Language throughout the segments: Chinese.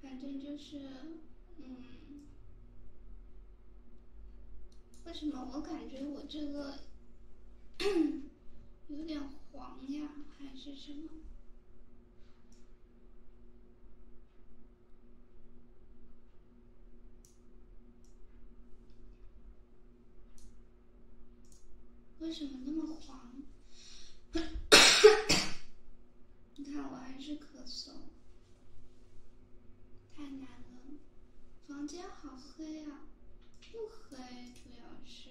反正就是，嗯，为什么我感觉我这个有点黄呀？还是什么？为什么那么黄？你看我还是咳嗽，太难了。房间好黑啊，不黑，主要是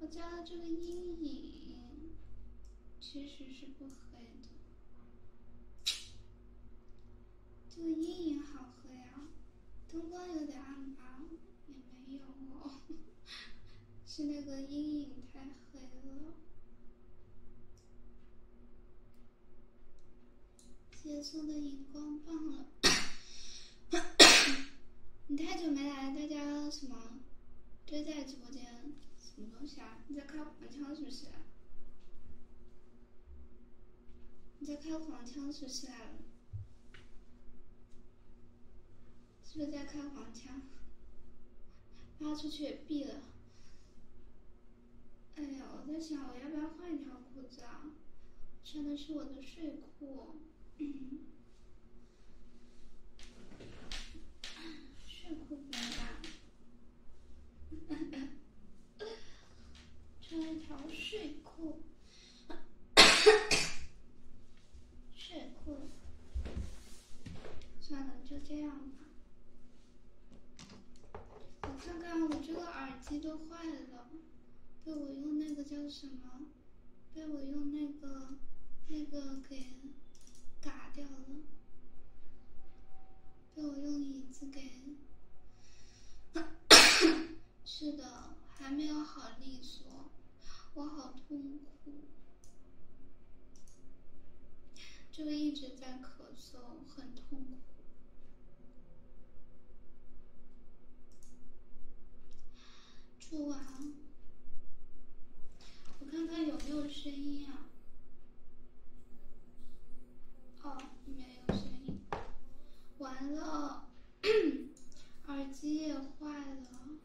我加了这个阴影，其实是不黑的。这个阴影好黑啊，灯光有点暗吧，也没有哦，是那个阴影太。黑了，结束的荧光棒了。你太久没来，大家什么堆在直播间？什么东西啊？你在开黄腔是不是？你在开黄腔是不是？是不是在开黄腔？发出去也毙了！哎呀，我在想我要不要换一条裤子啊？穿的是我的睡裤，睡裤来吧，穿一条睡裤，睡裤，算了，就这样。吧。我看看，我这个耳机都坏了，被我用那个叫什么，被我用那个那个给嘎掉了，被我用椅子给，是的，还没有好利索，我好痛。苦。哭，就一直在咳嗽，很痛苦。出完我看看有没有声音啊？哦，没有声音。完了，耳机也坏了。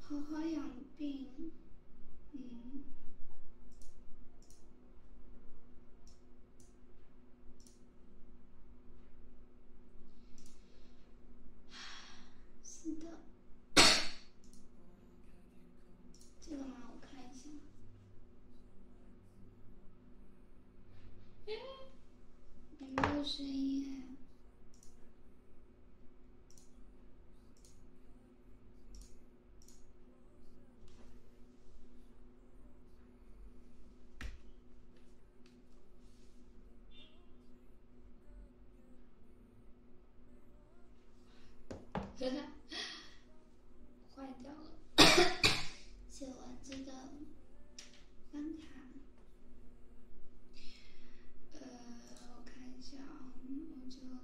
好好养病，嗯，是的，这个吗？我看一下，哎，没有声音真 坏掉了，写完这个钢卡，呃。呃，我看一下啊，我就只能，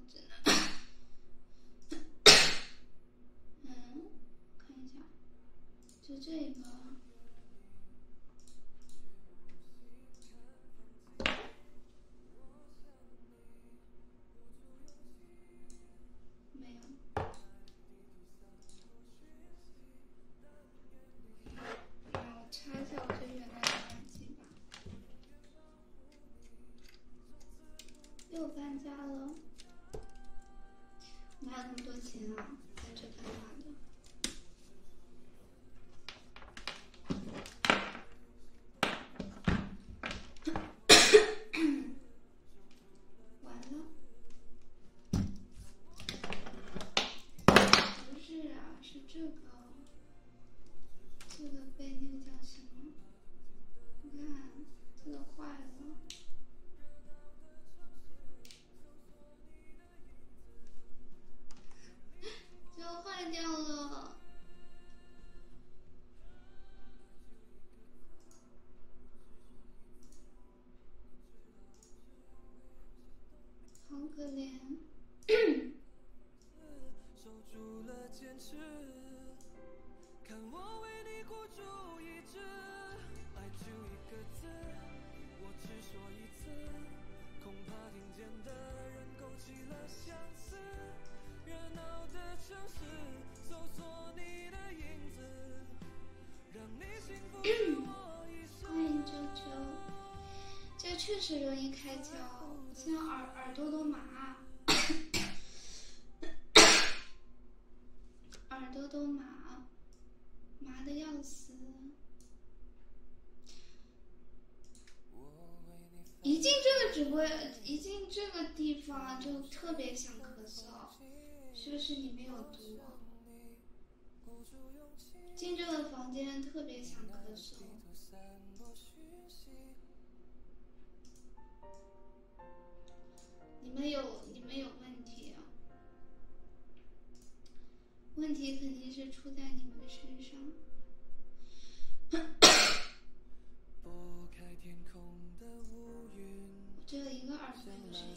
嗯，看一下，就这个，没有。哎，我擦一下我最原来的耳机。又搬家了，哪有那么多钱啊？在这干嘛呢？完了，不是啊，是这个。这个被那个叫什么？你看，这个坏了，要 坏掉了，好可怜。次守住了坚持看我为你孤注一掷爱就一个字我只说一次恐怕听见的人勾起了相思热闹的城市搜索你的影子让你幸福我一生这确实容易开胶，现在耳耳朵都麻，耳朵都麻，麻的要死。一进这个直播，一进这个地方就特别想咳嗽，是不是里面有毒？进这个房间特别想咳嗽。你们有你们有问题，问题肯定是出在你们的身上。我只有一个耳朵有声音。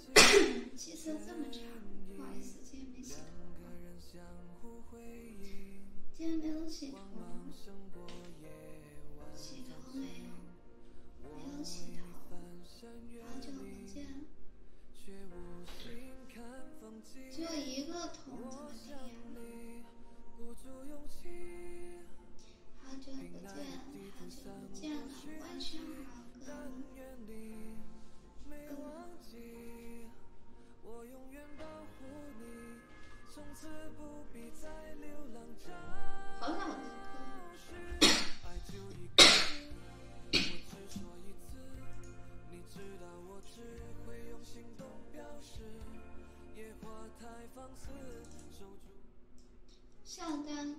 气 色这么差，不好意思，今天没洗头。今天没有洗头，洗头没有，没有洗头，好久不见。只有一个桶怎么听呀？好久不见，好久不见了，晚上好，哥。没忘记，我永远保护你，从此不必皇上。下单。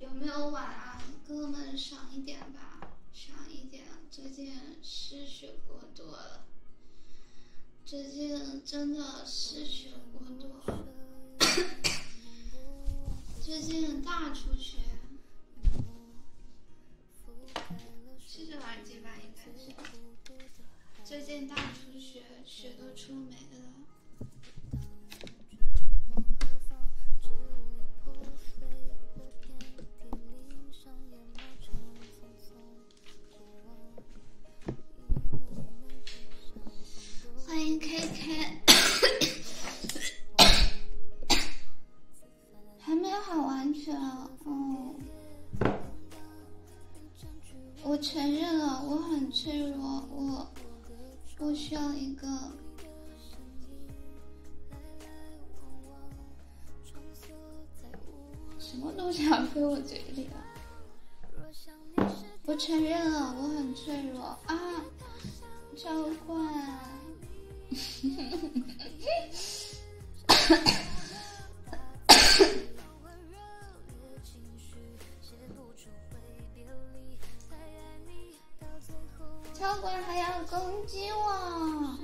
有没有晚安，哥哥们赏一点吧，赏一点。最近失血过多了，最近真的失血过多，最近大出血。试试耳机吧，应该是。最近大出血。欢迎 KK，还没好完全啊，嗯。我承认了，我很脆弱，我我需要一个。什么东西要 飞我嘴里了？我承认了，我很脆弱啊，浇灌。超管还要攻击我！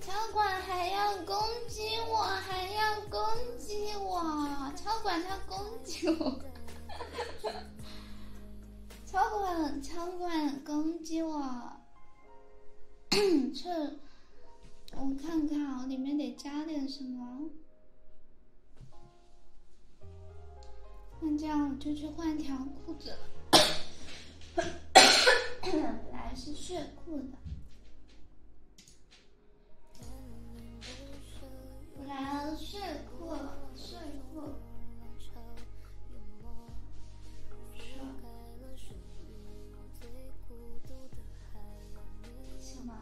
超管还要攻击我，还要攻击我！超管他攻击我，超 管，超管攻击我！这，我看看，啊，里面得加点什么。那这样，我就去换一条裤子。本来是睡裤的，本来睡裤睡裤。什么？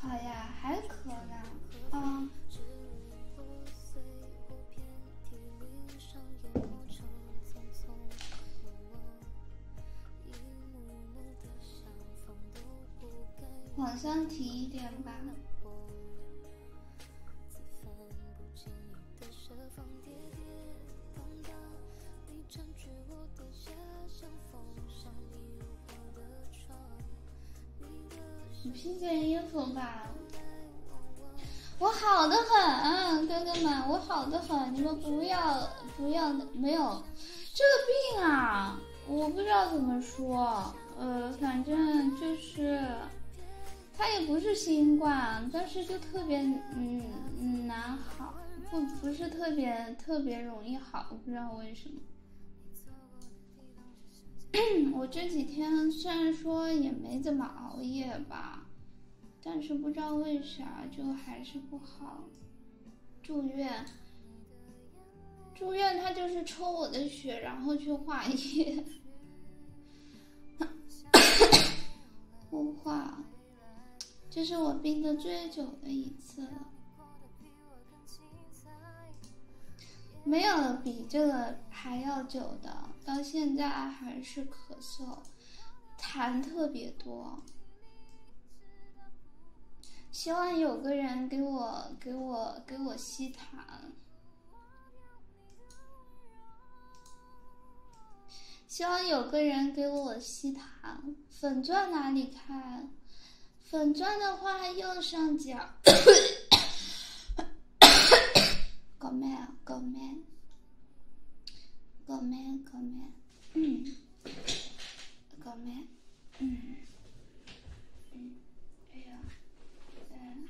好呀，还渴呀？嗯。晚上提一点吧。你披件衣服吧，我好的很，哥哥们，我好的很，你们不要不要没有这个病啊，我不知道怎么说，呃，反正就是。他也不是新冠，但是就特别嗯难好，不不是特别特别容易好，我不知道为什么。我这几天虽然说也没怎么熬夜吧，但是不知道为啥就还是不好，住院。住院他就是抽我的血，然后去化验，化。这是我病的最久的一次了，没有了比这个还要久的。到现在还是咳嗽，痰特别多。希望有个人给我给我给我吸痰。希望有个人给我吸糖。粉钻哪里看？粉钻的话，右上角。哥们，哥们，哥们，哥们，嗯，嗯，嗯，哎嗯。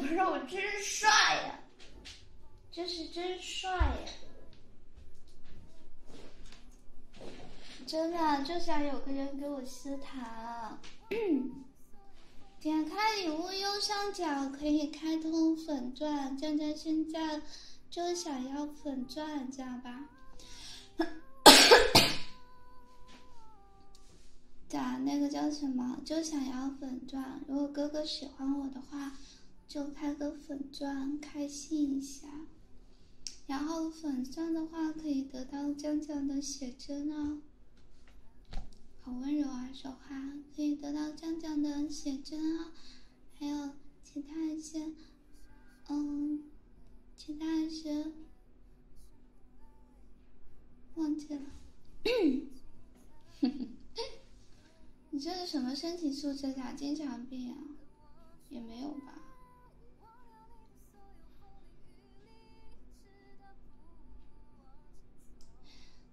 不是我真帅呀！真是真帅呀！真的，就想有个人给我吃糖。点开礼物右上角可以开通粉钻，酱酱现在就想要粉钻，知道吧？打那个叫什么？就想要粉钻。如果哥哥喜欢我的话，就开个粉钻，开心一下。然后粉钻的话，可以得到江江的写真哦。好温柔啊，说话可以得到江江的写真啊，还有其他一些，嗯，其他一些。忘记了。你这是什么身体素质啊？经常病啊？也没有吧。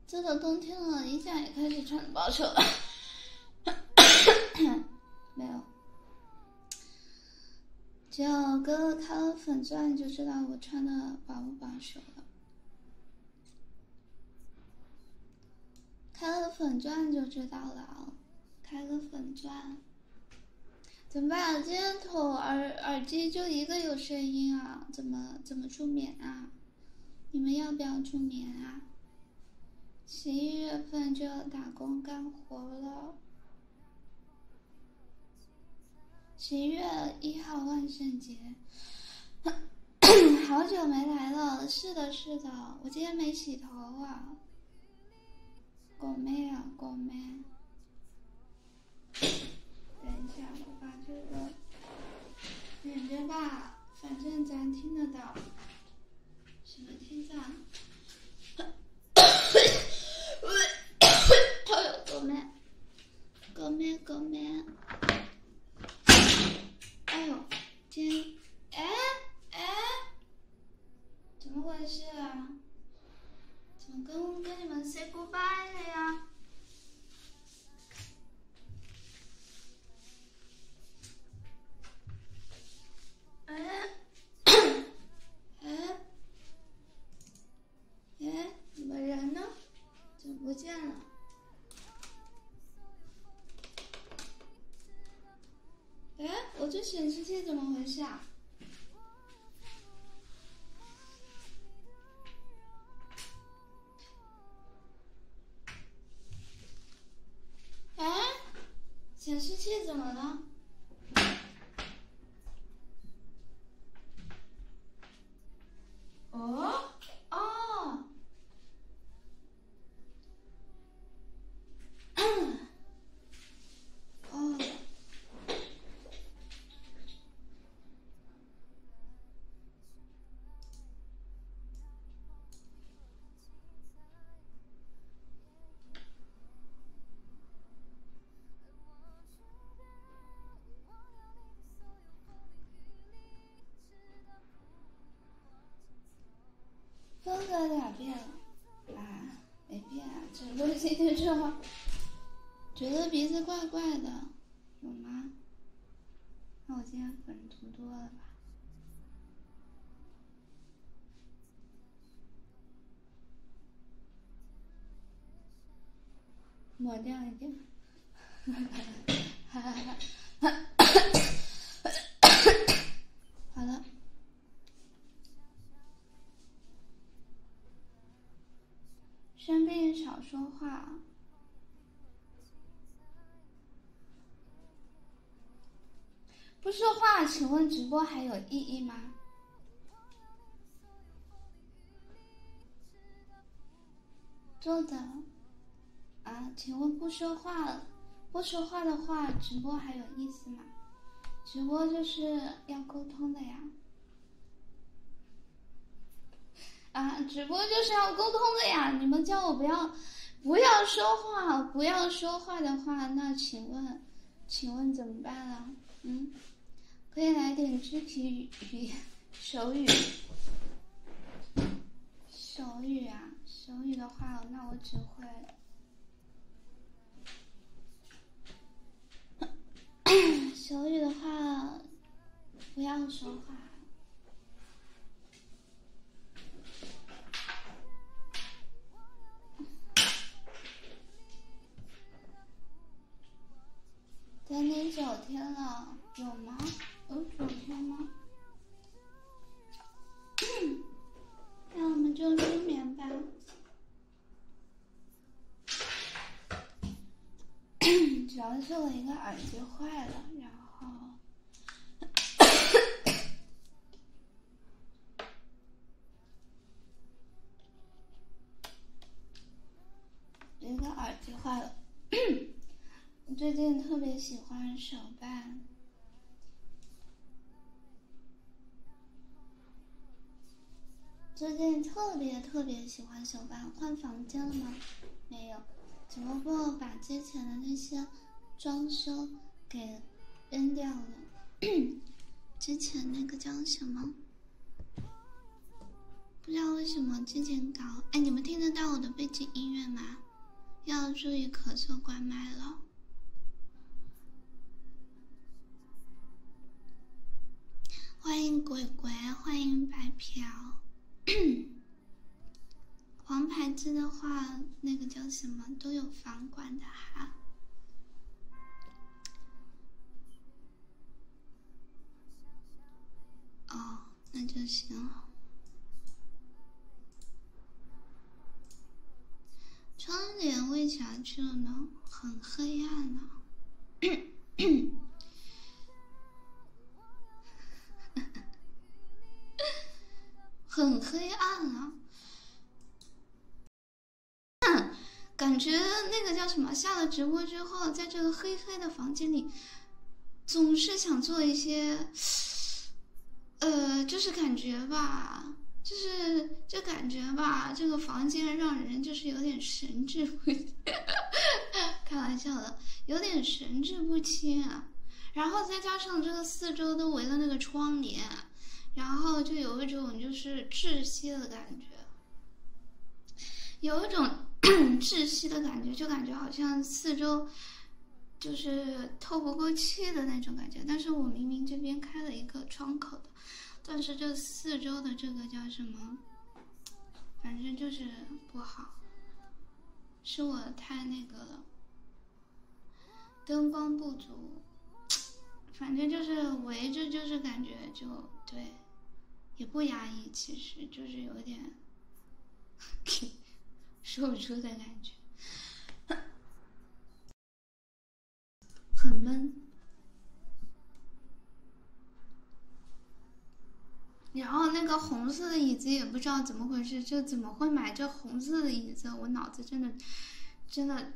这都冬天了，一下也开始穿薄袖了。没有。只有哥哥开了粉钻，你就知道我穿的薄不薄袖了。开个粉钻就知道了，开个粉钻。怎么办？今天头耳耳机就一个有声音啊？怎么怎么助眠啊？你们要不要助眠啊？十一月份就要打工干活了。十一月一号万圣节，好久没来了。是的，是的，我今天没洗头啊。搞咩啊，搞咩？等一下，我把这个忍着吧，反正咱听得到。什么天喂，喂，又搞咩？哥妹，哥妹，哎呦，今，哎哎，怎么回事啊？怎么跟跟你们 say goodbye 了呀？哎，哎。哎，你们人呢？怎么不见了？哎，我这显示器怎么回事啊？哎，显示器怎么了？哦，哦，哦。又在哪儿变了？啊，没变，只是今天觉得觉得鼻子怪怪的，有吗？那我今天粉涂多了吧？抹掉一点。好了，生病少说话，不说话，请问直播还有意义吗？做的啊？请问不说话，不说话的话，直播还有意思吗？直播就是要沟通的呀！啊，直播就是要沟通的呀！你们叫我不要，不要说话，不要说话的话，那请问，请问怎么办呢？嗯，可以来点肢体语言。手语，手语啊，手语的话，那我只会。手语的话，不要说话。等你九天了，有吗？有九天吗？那我们就入眠吧。主要是我一个耳机坏了，然后 一个耳机坏了。我最近特别喜欢手办，最近特别特别喜欢手办。换房间了吗？没有，只不过把之前的那些装修给扔掉了。之前那个叫什么？不知道为什么之前搞哎，你们听得到我的背景音乐吗？要注意咳嗽关麦了。欢迎鬼鬼，欢迎白嫖。黄牌子的话，那个叫什么都有房管的哈。哦，那就行。窗帘为啥去了呢？很黑暗呢。很黑暗啊！感觉那个叫什么？下了直播之后，在这个黑黑的房间里。总是想做一些，呃，就是感觉吧，就是就感觉吧，这个房间让人就是有点神志不清，开玩笑的，有点神志不清啊。然后再加上这个四周都围了那个窗帘，然后就有一种就是窒息的感觉。有一种 窒息的感觉，就感觉好像四周就是透不过气的那种感觉。但是我明明这边开了一个窗口的，但是这四周的这个叫什么？反正就是不好，是我太那个了，灯光不足，反正就是围着，就是感觉就对，也不压抑，其实就是有点。说不出的感觉，很闷。然后那个红色的椅子也不知道怎么回事，就怎么会买这红色的椅子？我脑子真的，真的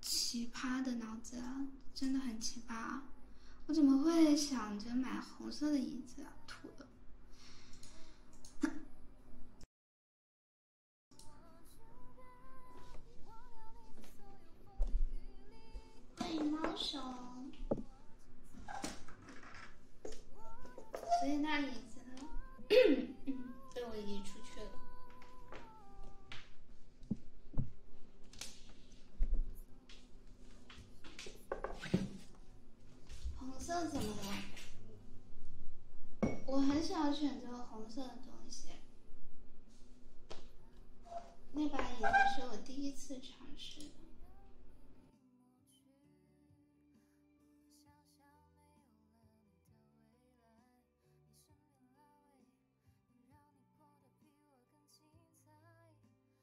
奇葩的脑子，真的很奇葩。我怎么会想着买红色的椅子？土的。欢迎猫熊，所以那椅子被我 已经出去了。红色怎么了？我很想选择红色的东西。那把椅子是我第一次尝试的。好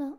了。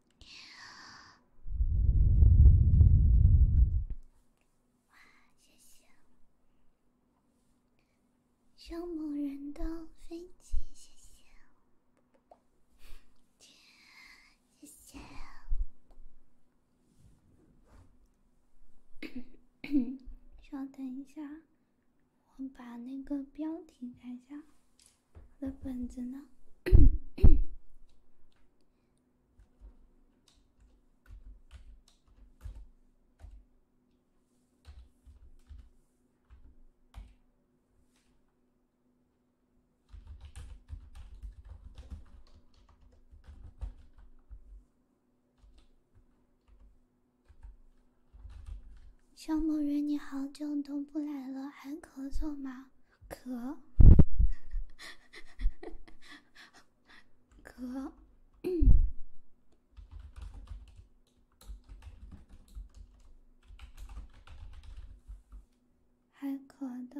哇，谢谢！上某人的飞机，谢谢！天，谢谢！稍等一下，我把那个标题改一下。我的本子呢？小某人，你好久都不来了，还咳嗽吗？渴，渴，还渴的。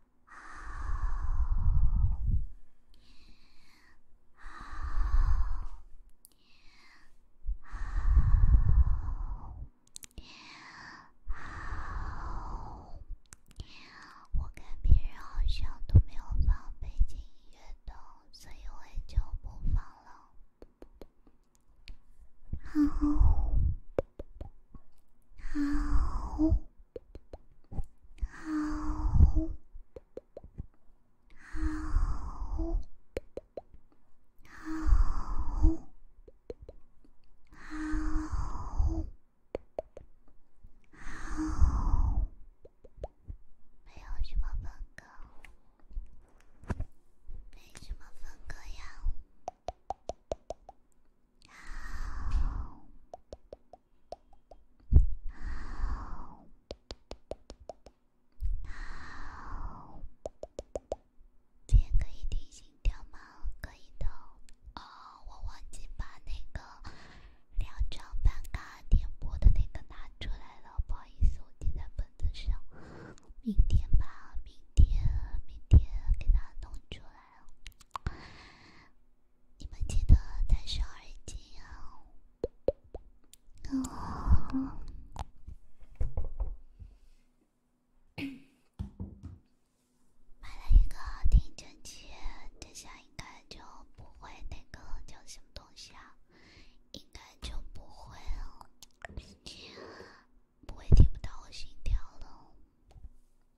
好，好，我看别人好像都没有放背景音乐的，所以我就不放了。好，好，好，好，好，好，没有什么分割，没什么分割呀。今天可以听心跳吗？可以的。哦，我忘记把那个两张办卡点播的那个拿出来了，不好意思，我记在本子上。明天吧，明天，明天给它弄出来哦。你们记得戴上耳机哦。哦，买了一个听诊器，这下应该就不会那个叫什么东西啊，应该就不会了，不会听不到我心跳了。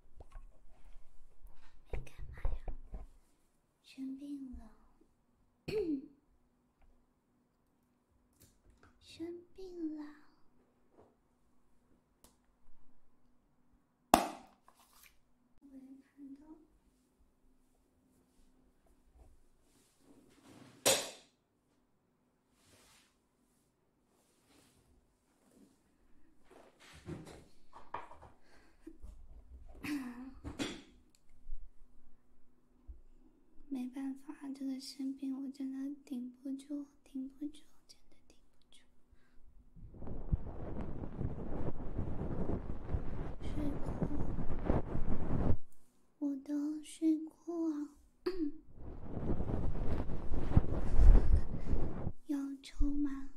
在干嘛呀？生病了，生病了。我也看到。没办法，这个生病我真的顶不住，顶不住，真的顶不住。睡裤，我的睡裤要抽吗？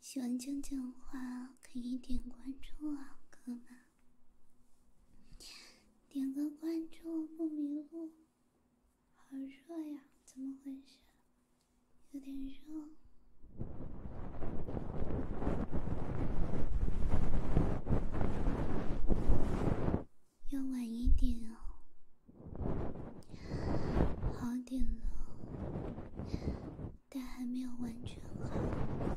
喜欢江江的话，可以点关注啊，哥们！点个关注不迷路。好热呀，怎么回事？有点热，要晚一点哦。好点了，但还没有完全好。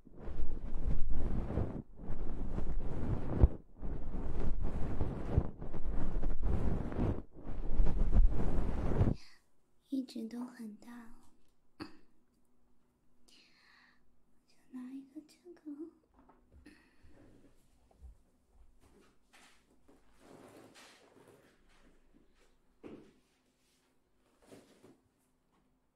一直都很大，就 拿一个这个。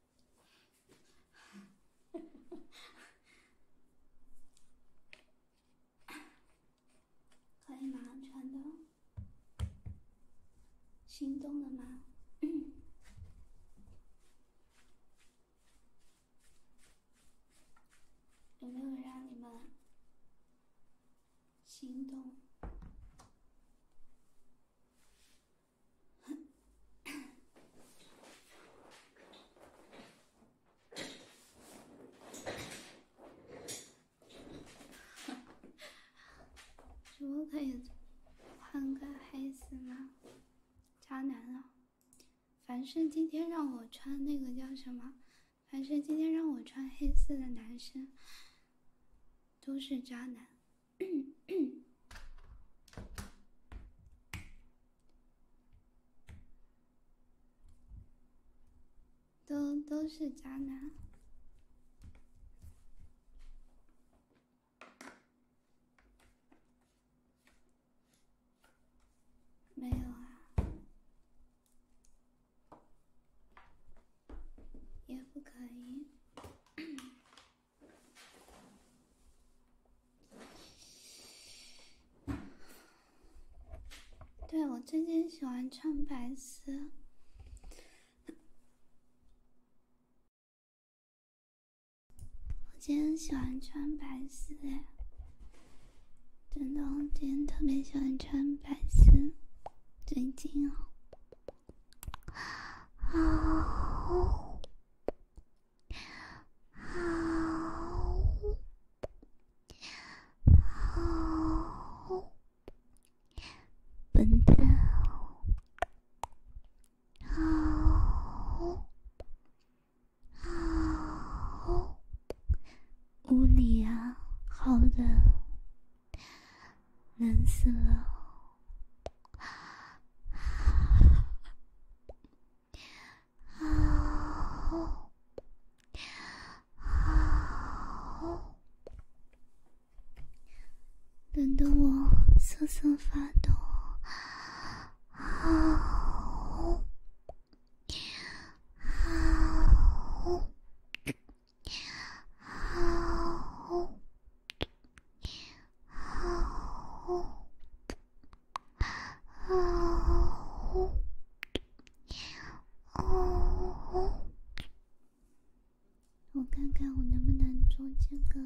可以吗？穿的，心动了吗？有没有让你们心动？么可以换个黑色吗？渣男啊！凡是今天让我穿那个叫什么，凡是今天让我穿黑色的男生，都是渣男。都都是渣男，没有啊，也不可以。对我最近喜欢穿白丝，我今天喜欢穿白丝，真的，我今天特别喜欢穿白丝，最近哦。好，好笨蛋，好，好，屋里啊，好冷，冷死了。好，好，冷得我瑟瑟发抖。好，好，好。我看看我能不能做这个。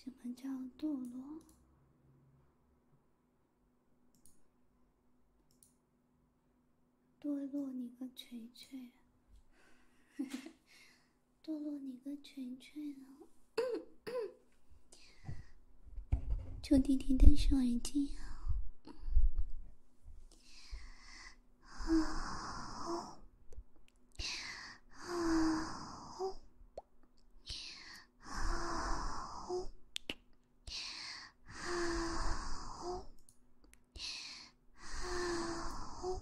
什么叫堕落？堕落你个锤锤！嘿堕落你个锤锤啊！臭弟弟，戴上耳机啊！好，好，好，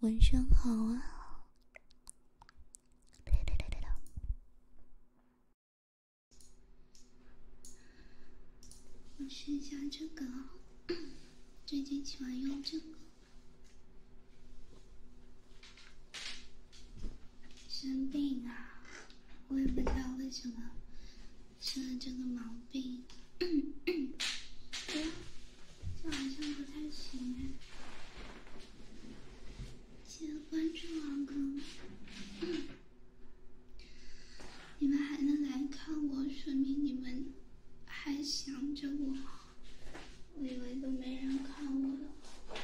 晚上好啊！我试一下这个，最近喜欢用这个。生病啊，我也不知道为什么生了这个毛病，嗯嗯，这好像不太行哎。记得关注啊哥，你们还能来看我，说明你们还想着我。我以为都没人看我了。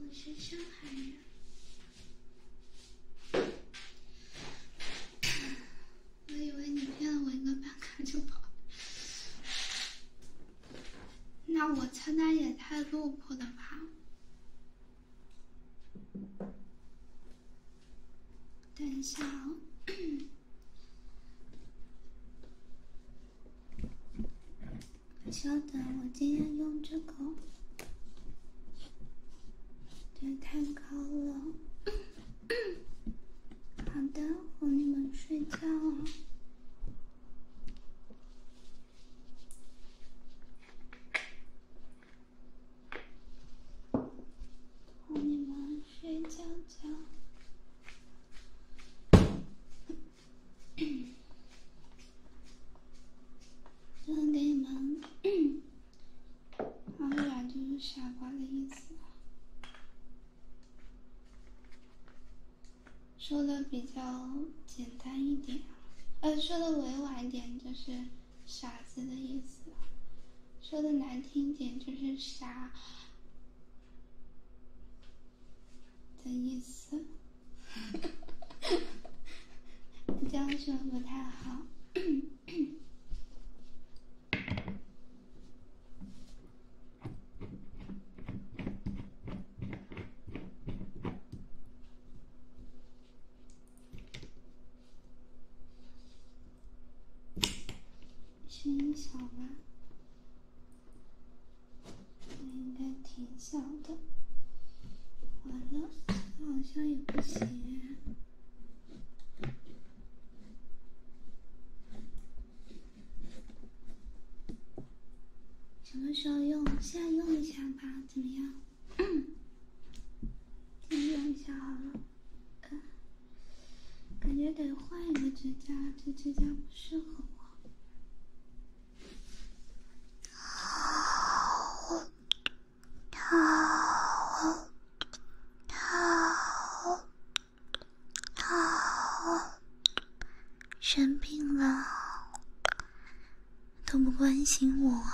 我是上海人。我以为你骗了我一个半卡就跑，那我菜单也太落魄了吧？等一下，稍等，我今天用这个。对，太高了，好的，哄你们睡觉了，哄你们睡觉觉，然后给你们。阿软就是傻瓜的意思，说的比较简单一点，呃，说的委婉一点就是傻子的意思，说的难听点就是傻的意思。这样说不太好，声音小吗？应该挺小的，完了。好像也不行。什么时候用？现在用一下吧，怎么样？先用一下好了。感觉得换一个指甲，这指甲不适合我。生病了，都不关心我。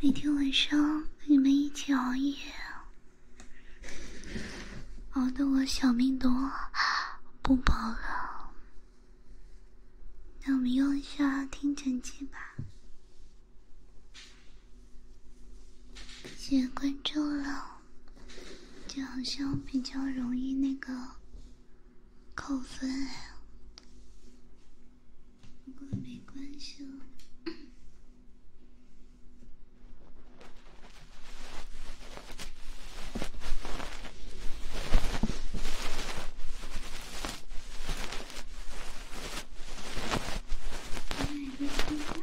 每天晚上你们一起熬夜，熬的我小命都不保了。那我们用一下听诊器吧。谢谢关注了，就好像比较容易那个扣分哎。不过没关系了。哎，不知道。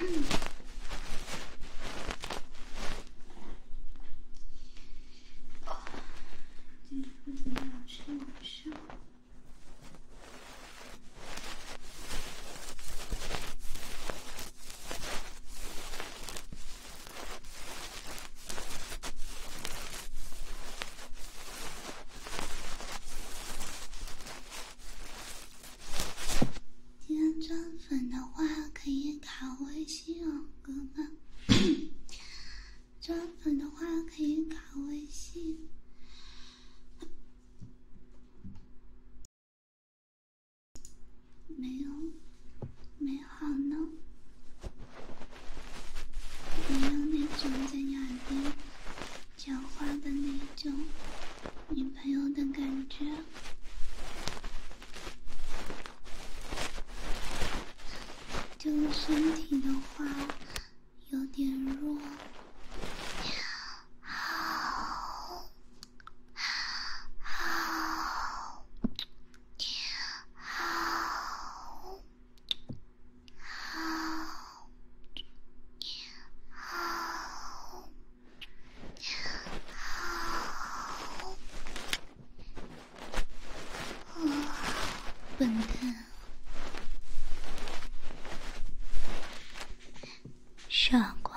嗯。哦，今天不怎么吃晚上。既然赚粉的话，可以卡微信，哦哥们。赚粉的话，可以卡微信。没有，没好呢。没有那种在你耳边讲话的那种女朋友的感觉。就身体的话，有点弱。笨蛋，傻瓜。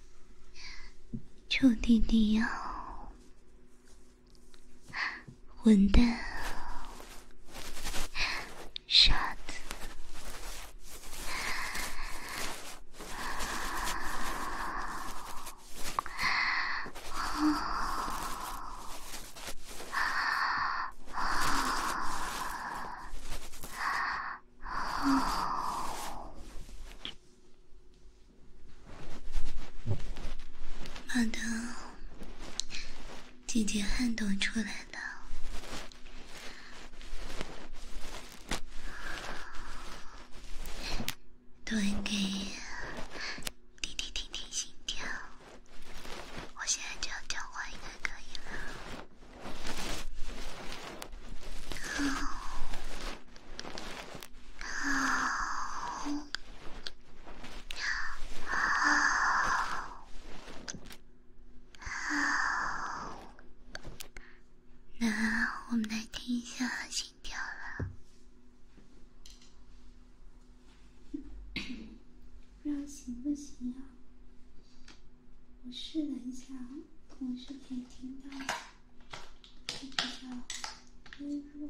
臭弟弟哦！混蛋！傻子！好的，姐姐汗都出来了，多给呀！滴滴滴心跳，我现在就要交换一个歌呀。好，好，好，好。那我们来听一下心跳了，我试了一下，我是可以听到的，是比较微弱，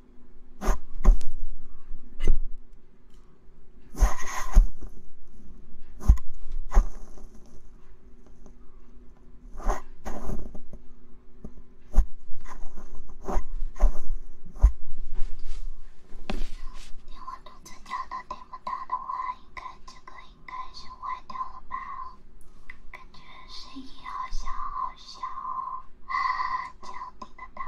连我肚子叫都听不到的话，应该这个应该是坏掉了吧？感觉声音好小，好小，这样听的到。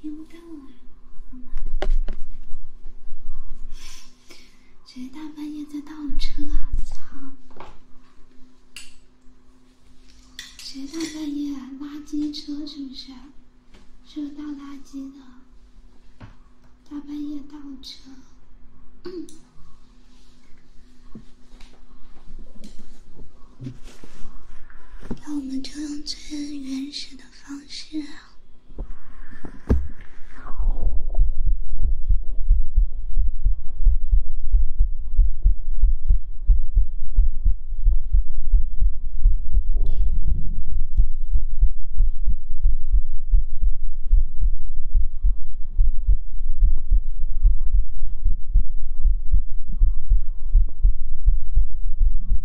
听不到啊！谁大半夜在倒车啊？操！谁大半夜垃圾车是不是？是倒垃圾的？大半夜倒车。那我们就用最原始的。的方式。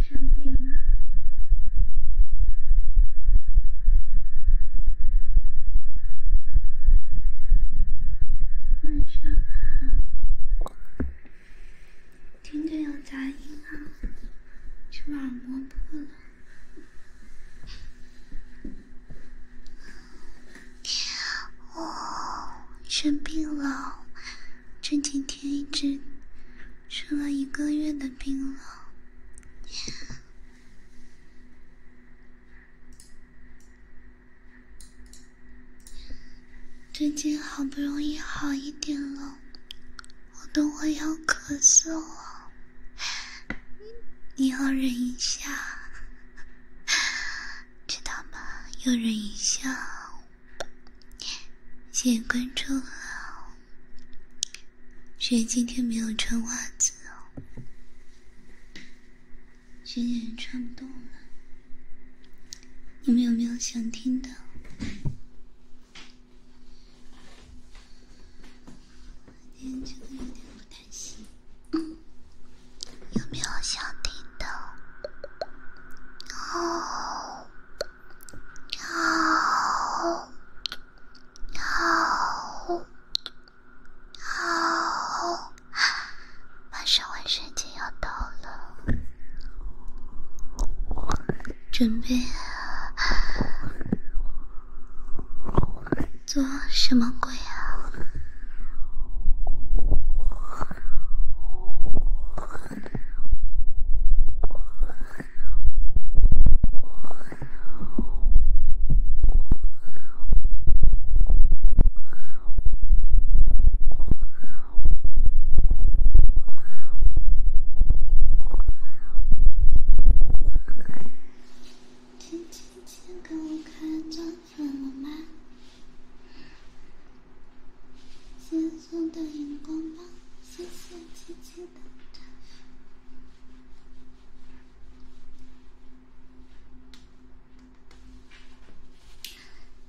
生病了。晚上好。听着有杂音啊，是耳膜破了。我生病了，这几天一直生了一个月的病了。最近好不容易好一点了，我都会要咳嗽了，你要忍一下。知道吗？诱人一笑。谢谢关注哦。雪今天没有穿袜子哦。雪姐姐穿不动了。你们有没有想听的？今天觉得有点不太行。嗯，有没有想听的？哦，哦，哦，哦，马上万圣节要到了，准备做什么鬼？轻轻轻，给我开张。粉了吗？新送的荧光棒，谢谢七七的转粉，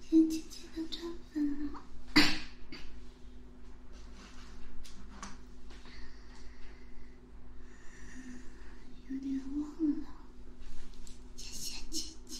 谢谢七的转粉啊，有点忘了，谢谢七七。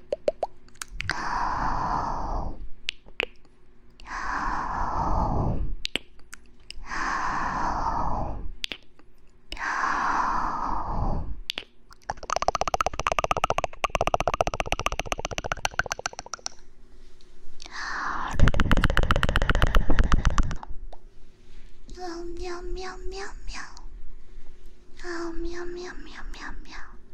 喵喵喵喵喵，啊喵喵喵喵喵。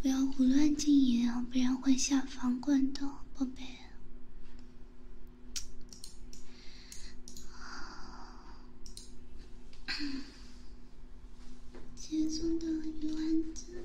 不要胡乱禁言，不然会下房管的，宝贝。杰总的鱼丸子。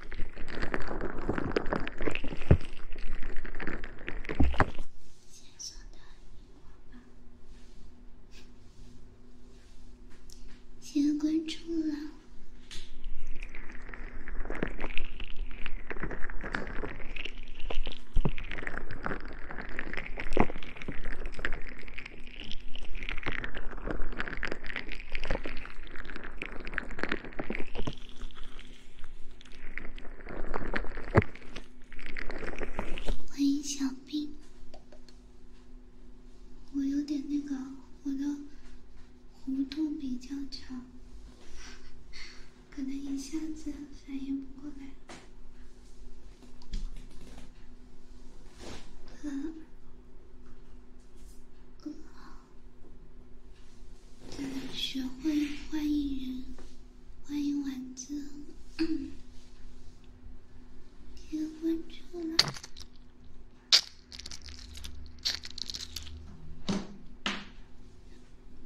谢谢关注了。欢迎小兵，我有点那个，我的弧度比较长，可能一下子反应不过来。嗯。学会欢迎人，欢迎丸子，别关住了，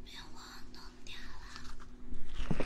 别忘弄掉了。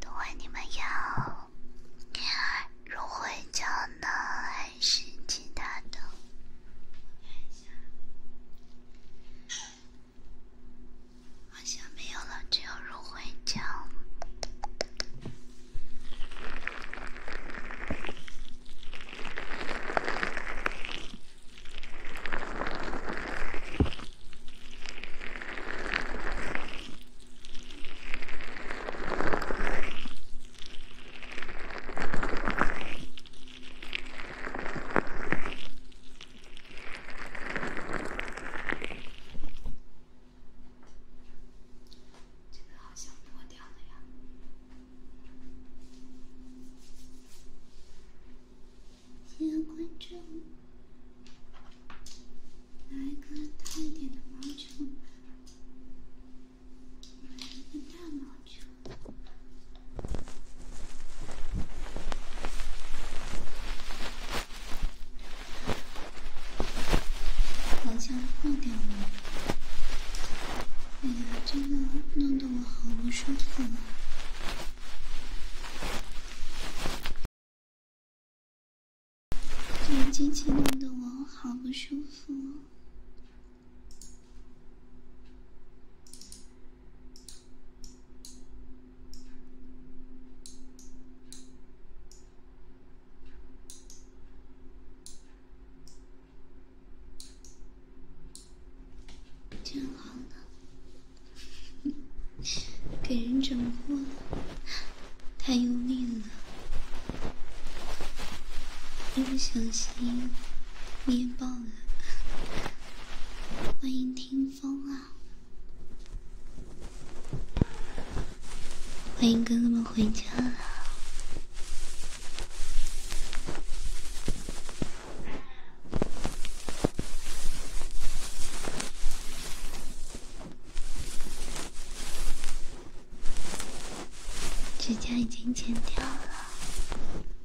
都会，你们要乳会胶囊还是其他的？好像没有了，只有芦荟胶。这个好像破掉了呀！加关注，来个大一点的毛球，来一个大毛球。好像破掉了。哎呀，真的弄得我好不舒服啊！这个机器弄得我好不舒服。真好呢，给人整破了，太用力了，一不小心。捏爆了！欢迎听风啊！欢迎哥哥们回家指甲已经剪掉了。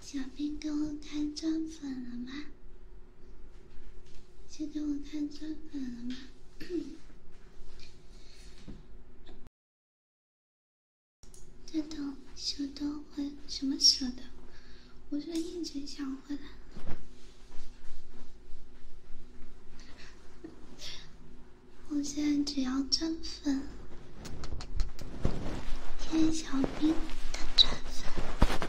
小兵给我看钻粉了吗？是给我看钻粉了吗？等等，小刀换什么小刀？我就一直想回来。我现在只要真粉，谢小兵的转粉。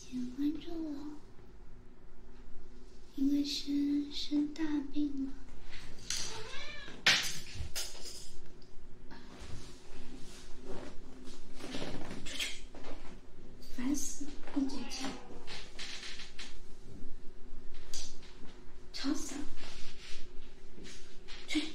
先关注我，因为生生大病了。出去，烦死了！不接钱，吵死了！去。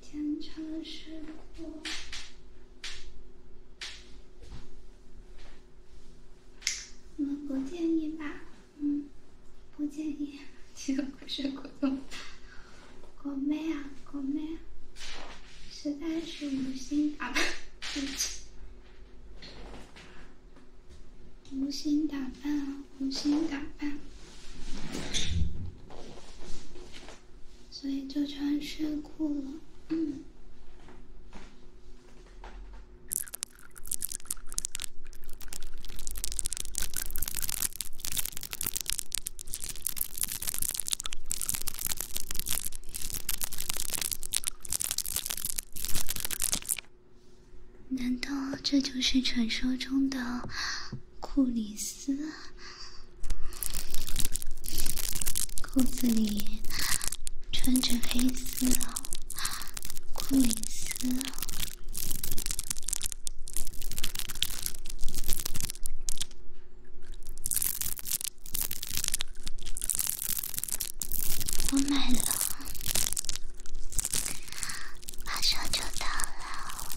天长日过，我不建议吧，嗯，不建议。其实不是国栋，国妹啊，国妹，实在是无心打扮，对不起，无心打扮啊，无心打扮。所以就穿睡裤了，嗯。难道这就是传说中的库里斯？裤子里穿着黑丝，裤林丝。我买了，马上就到了。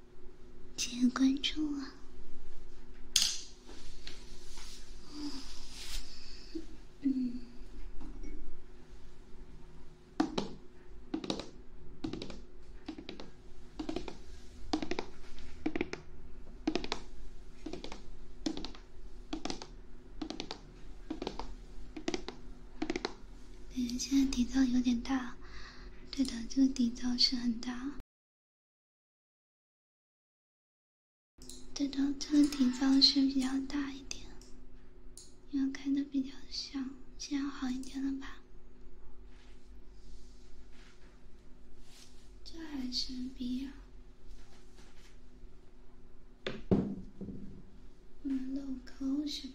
请关注啊！嗯嗯。现在底噪有点大。对的，这个底噪是很大。对的，这个地方是比较大一点，因为开的比较小，现在好一点了吧？这还是 B 啊？我们漏高是吧？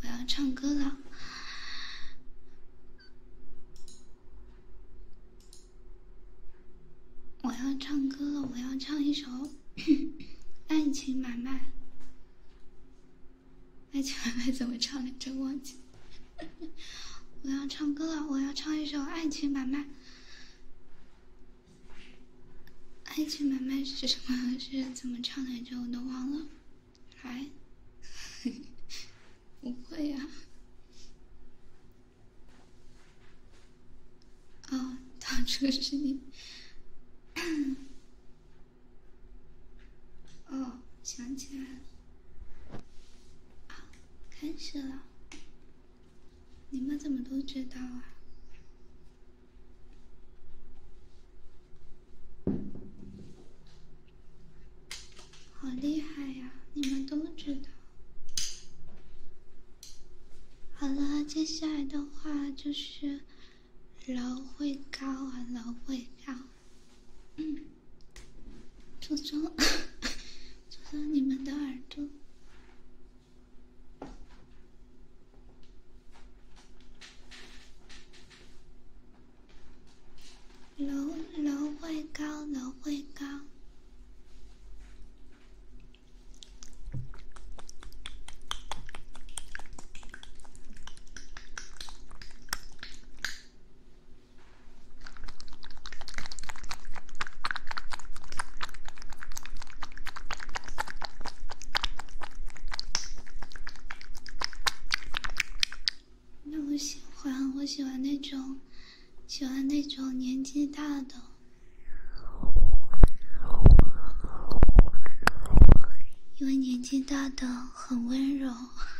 我要唱歌了！我要唱歌了！我要唱一首《爱情买卖》。爱情买卖怎么唱来着？忘记。我要唱歌了，我要唱一首《爱情买卖》。爱情买卖是什么？是怎么唱来着？我都忘了。来，不会呀。哦，当初是你。哦，想起来了。好，开始了。你们怎么都知道啊？好厉害呀！你们都知道。好了，接下来的话就是老会高啊，老会高。嗯。猪猪，猪 猪，你们的耳朵，楼楼会高，楼会高。那我喜欢，我喜欢那种，喜欢那种年纪大的，因为年纪大的很温柔。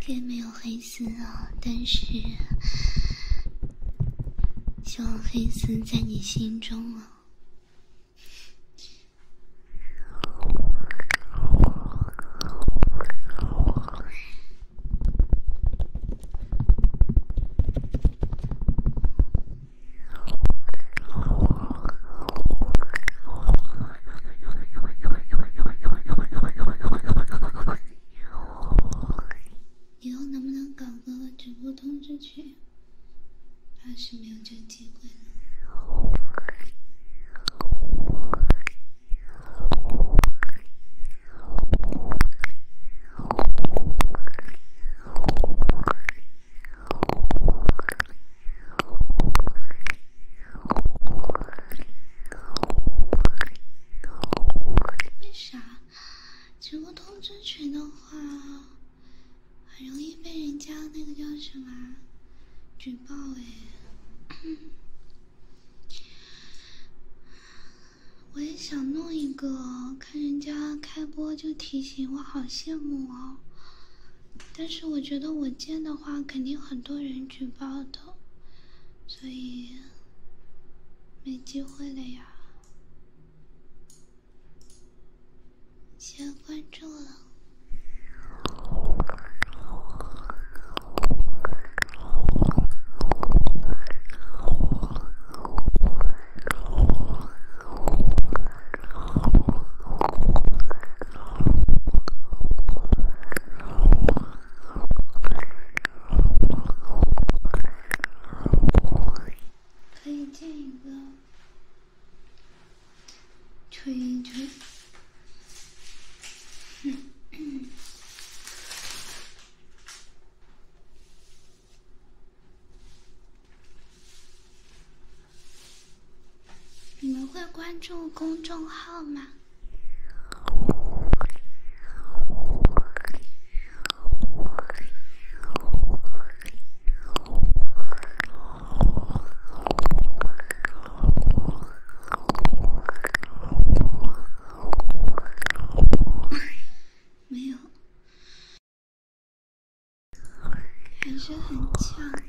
天没有黑丝啊，但是希望黑丝在你心中啊。以后能不能搞个直播通知曲？怕是没有这机会了。为啥直播通知群的话，很容易被人家那个叫什么举报哎？我也想弄一个，看人家开播就提醒，我好羡慕哦。但是我觉得我建的话，肯定很多人举报的，所以没机会了呀。先关注了。可以建一个吹一吹，你们会关注公众号吗？没有，还是很呛。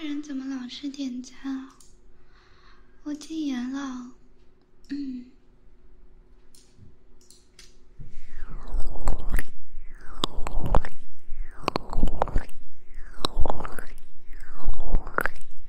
这人怎么老是点赞？我禁言了。嗯。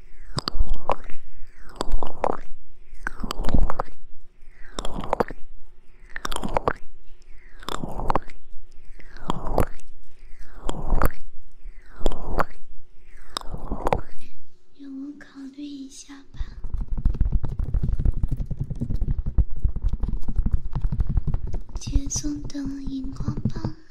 让我考虑一下吧。节目的荧光棒。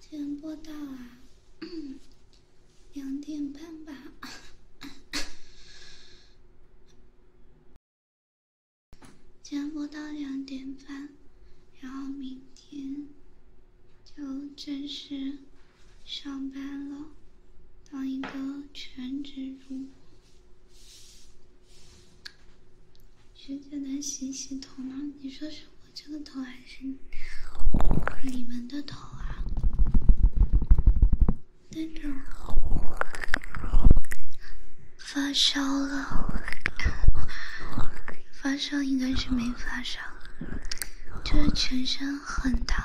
今天播到啊，两点半吧。今天播到两点半，然后明天就正式上班了，当一个全职主播。学姐能洗洗头吗？你说是我这个头还是你们的头啊？那种发烧了，发烧应该是没发烧，就是全身很疼。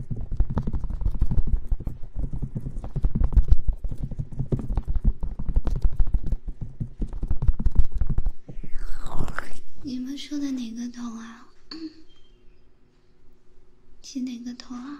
你们说的哪个头啊？起哪个头啊？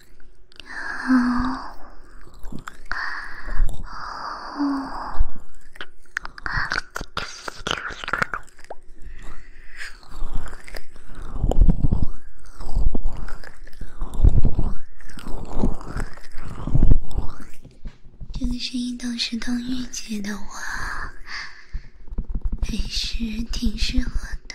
哦哦，这个声音倒是当御姐的话，还是挺适合的。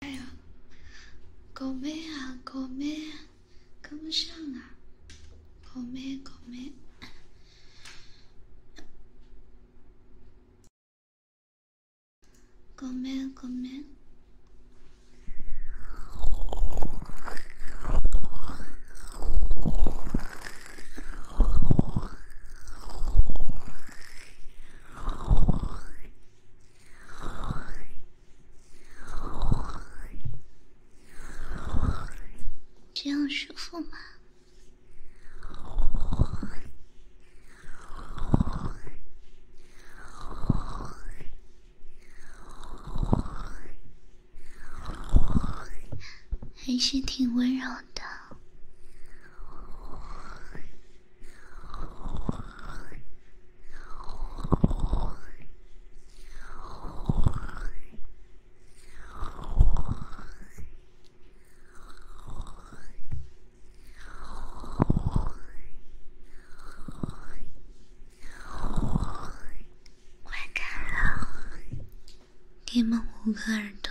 哎呦，狗妹啊，狗妹，跟不上啊，狗妹，狗妹，んごめん。这样舒服吗？还是挺温柔。的，你们五个耳朵。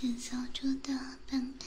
行走中的奔跑。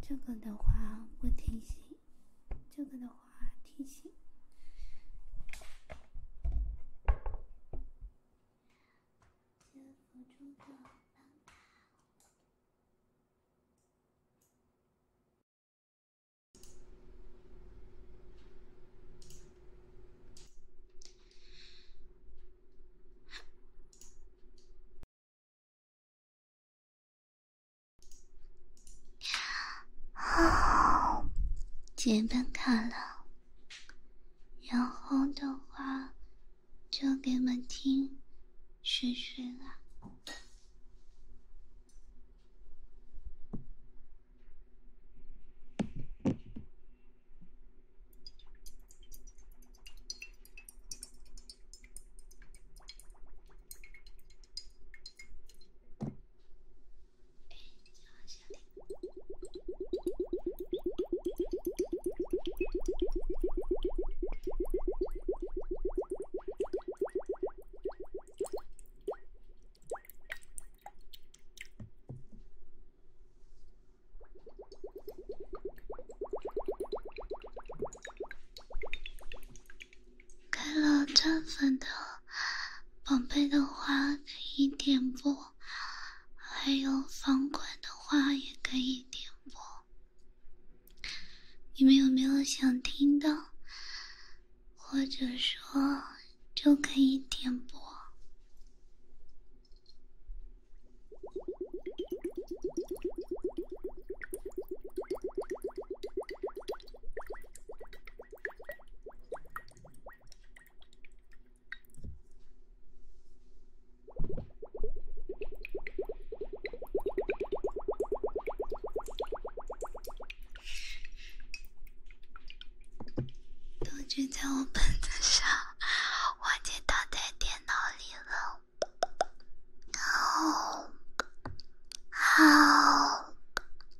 这个的话不听行，这个的话。提醒。好，简单卡了。然后的话，就给你们听，睡睡啦。开了站粉的。宝贝的话可以点播，还有房管的话也可以点播。你们有没有想听的？或者说就可以点播。都记在我本子上，我记到在电脑里了。好，好。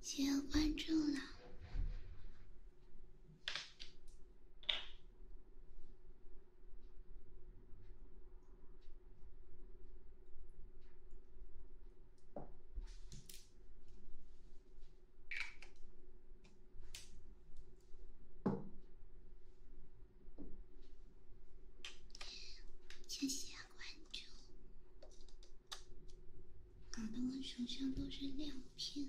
谢谢关注了。谢谢关注。搞得我手上都是亮片。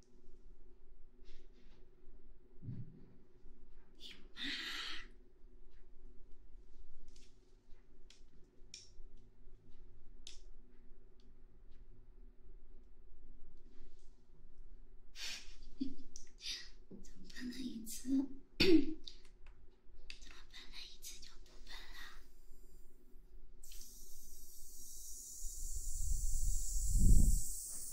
妈！怎么喷了一次？怎么喷了一次就不喷了？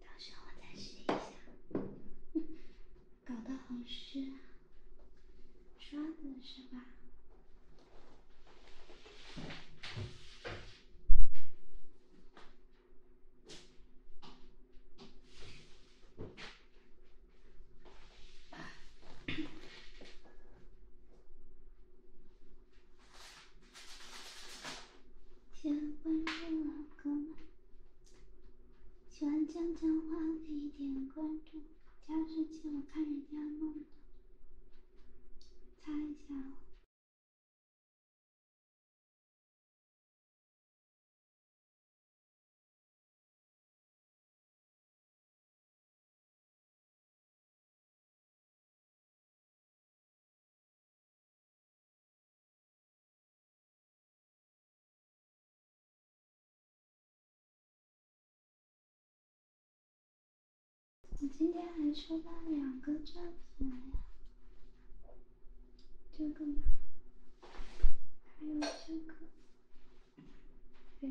到时候我再试一下，搞得好湿啊，刷子是吧？点关注，老哥们！喜欢讲脏话可以点关注。加湿器，我看人家弄的，擦一下。我今天还收到两个照片呀。这个吗？还有这个，对。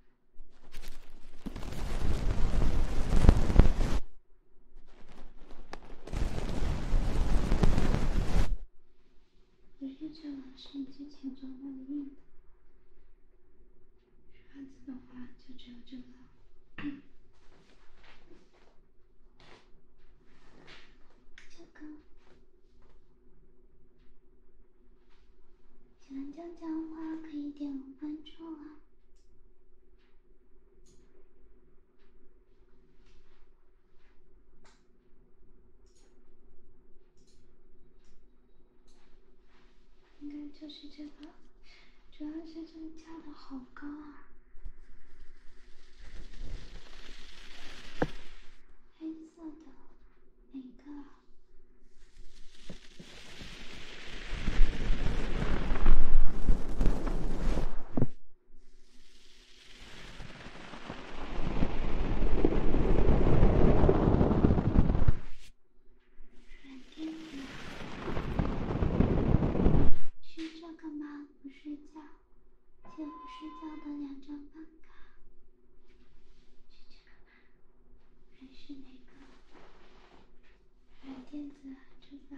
直接就能升级，请做任务。汉字的话，就只有这个。这 个。喜欢江江花，可以点个关注啊！应该就是这个，主要是这个叫的好高啊！色的每个是这个吗？不睡觉，就不睡觉的两张饭卡，是这个。还是那个买电子啊，制造？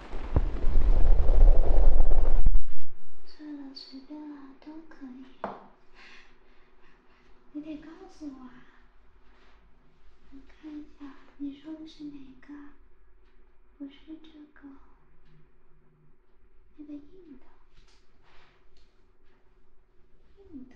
算了，随便了，都可以。你得告诉我啊。我看一下，你说的是哪个？不是这个，那个硬的，硬的。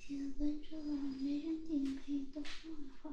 喜关注我，没人点可以多听我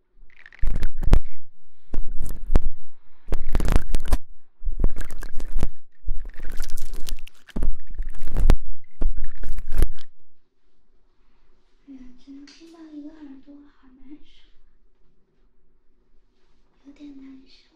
哎呀，只能听到一个耳朵，好难受，有点难受。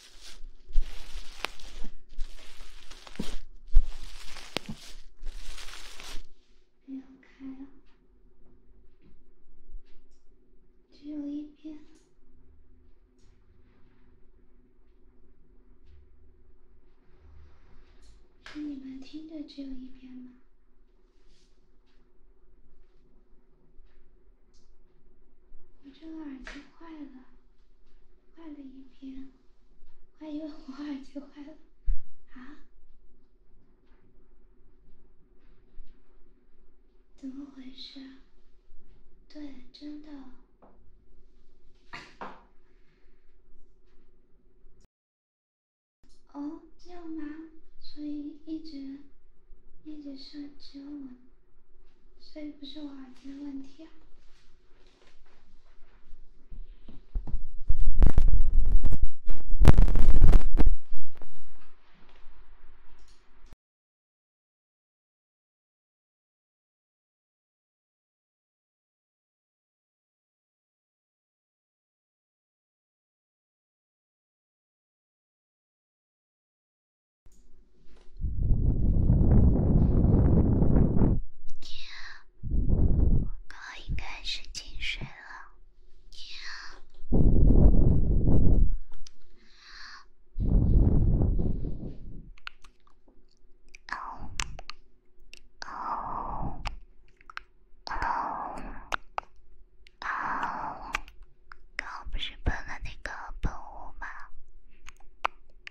没有开了，只有一边。是你们听的只有一边吗？我这个耳机坏了。坏了一天，还以为我耳机坏了，啊？怎么回事对，真的。哦，这样吗？所以一直，一直是只有我。所以不是我耳机的问题。哥应该是进水了。哦哦哦哦，刚刚不是喷了那个喷雾吗？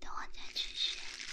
等我再去学一下。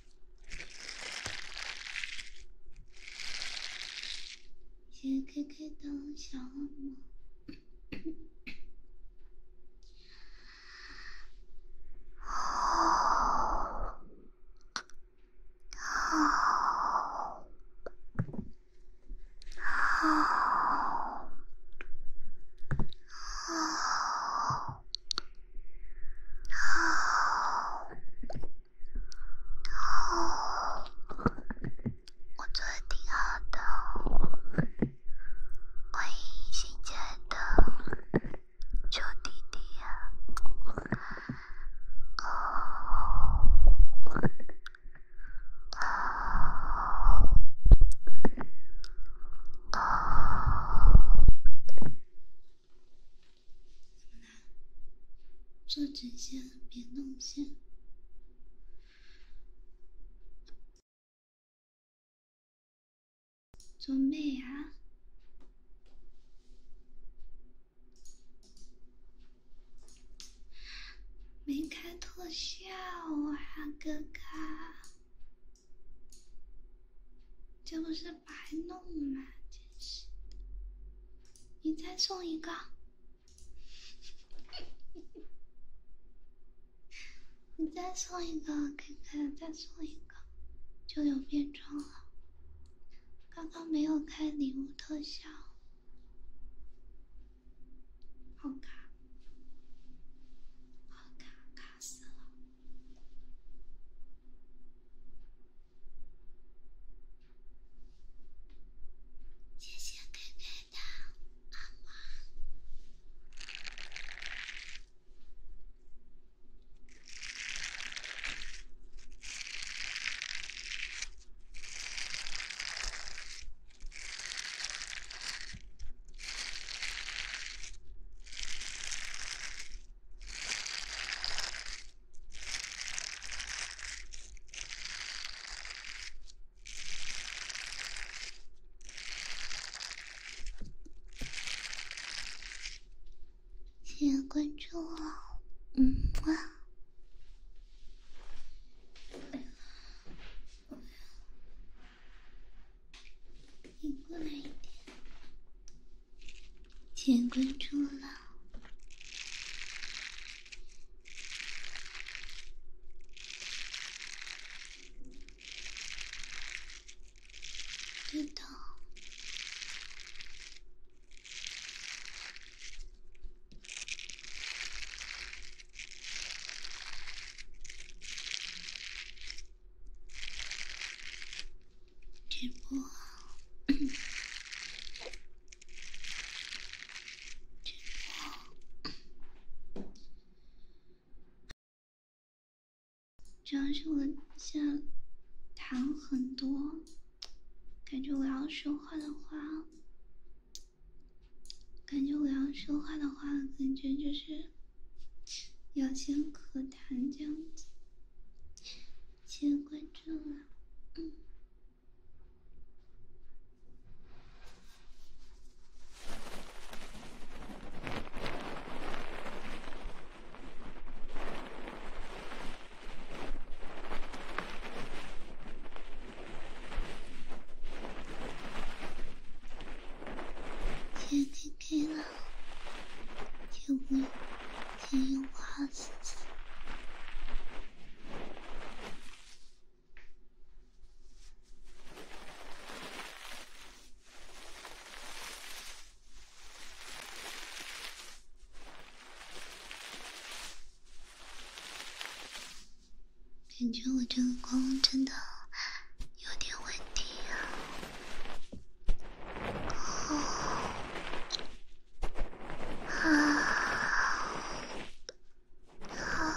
谢谢 KK 的小恶魔。好，好，好，好。哦，我做的挺好的。欢迎新来的臭弟弟呀！哦哦哦。做直线，别弄线。做妹啊？没开特效啊，哥哥？这不是。白弄嘛，真是！你再送一个，你再送一个，哥哥，再送一个，就有变装了。刚刚没有开礼物特效，好卡，好卡卡死了。谢谢哥哥的帮忙。谢谢关注哦，嗯，晚安。不要，不要，一个人一点。请关注了，知的。直播，直播，主要是我现在谈很多，感觉我要说话的话，感觉我要说话的话，感觉就是要先和谈这样子。谢谢关注了，嗯。先 PK 了，结婚。天阴花似锦，感觉我这个光真的有点问题啊！啊。好，好，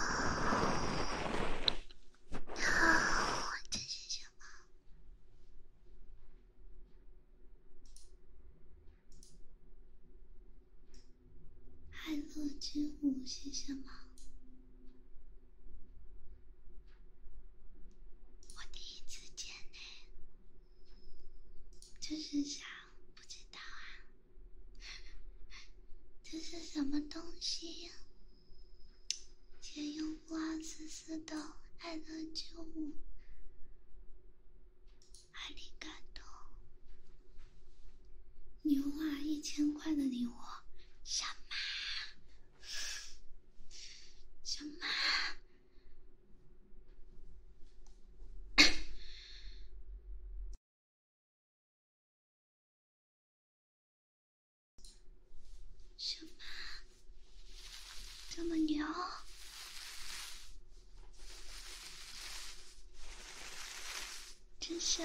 好，这是什么？爱乐之舞是什么？我第一次见呢。这是啥？不知道啊！这是什么东西？借用瓜思思的爱的救物，好感动！牛啊！一千块的礼物，小马，小马。什么？这么牛，真想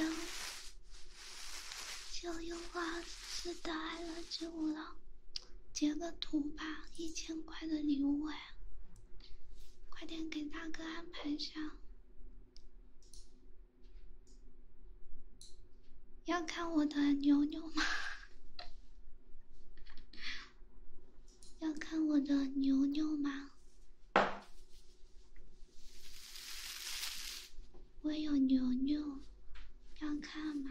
就用花字打来了就了，截个图吧，一千块的礼物哎。快点给大哥安排下！要看我的牛牛吗？要看我的牛牛吗？我有牛牛，要看吗？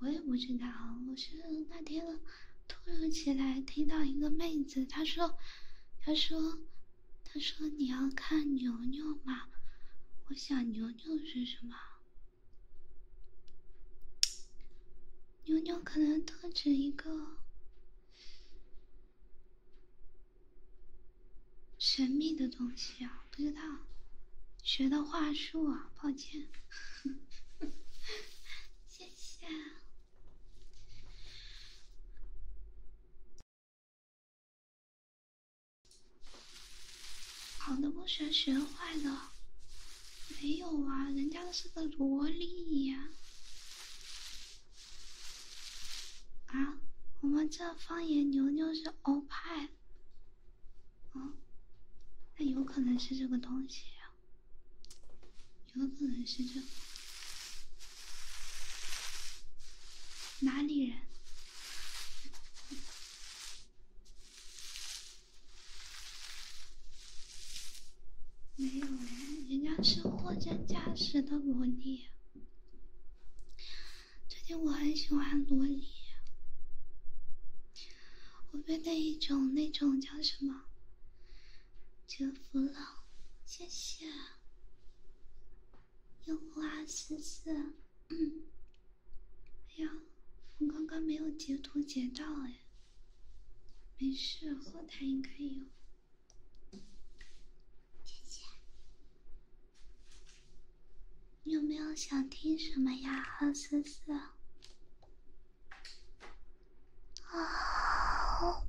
我也不知道，我是那天，突如其来听到一个妹子，她说：“她说，她说你要看牛牛吗？”我想牛牛是什么？牛牛可能特指一个神秘的东西啊，不知道，学的话术啊，抱歉。谢谢。好的不学，学坏的。没有啊，人家的是个萝莉。呀、啊，我们这方言牛牛是欧派。嗯，那有可能是这个东西。啊。有可能是这，哪里人？没有人，人家是货真价实的萝莉。最近我很喜欢萝莉，我被那一种那种叫什么？祝福了，谢谢。用户二四四，哎呀，我刚刚没有截图截到哎。没事，后台应该有。谢谢。你有没有想听什么呀，二四四？好，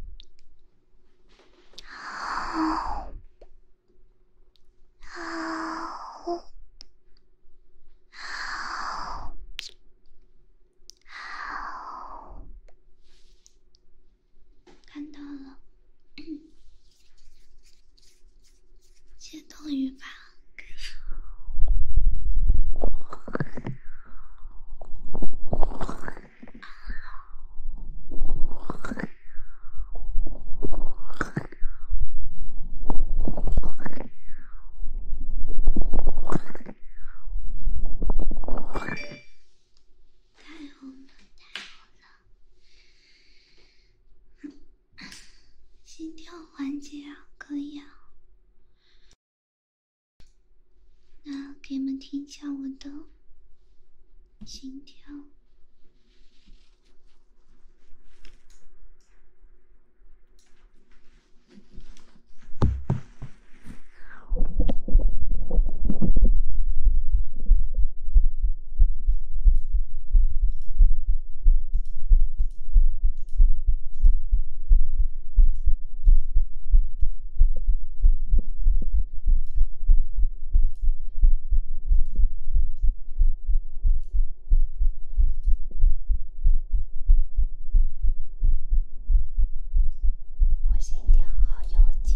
看到了，嗯，接冻鱼吧。太好了，太好了，心跳缓解了，可以了。那给你们听一下我的心跳。心跳好有劲，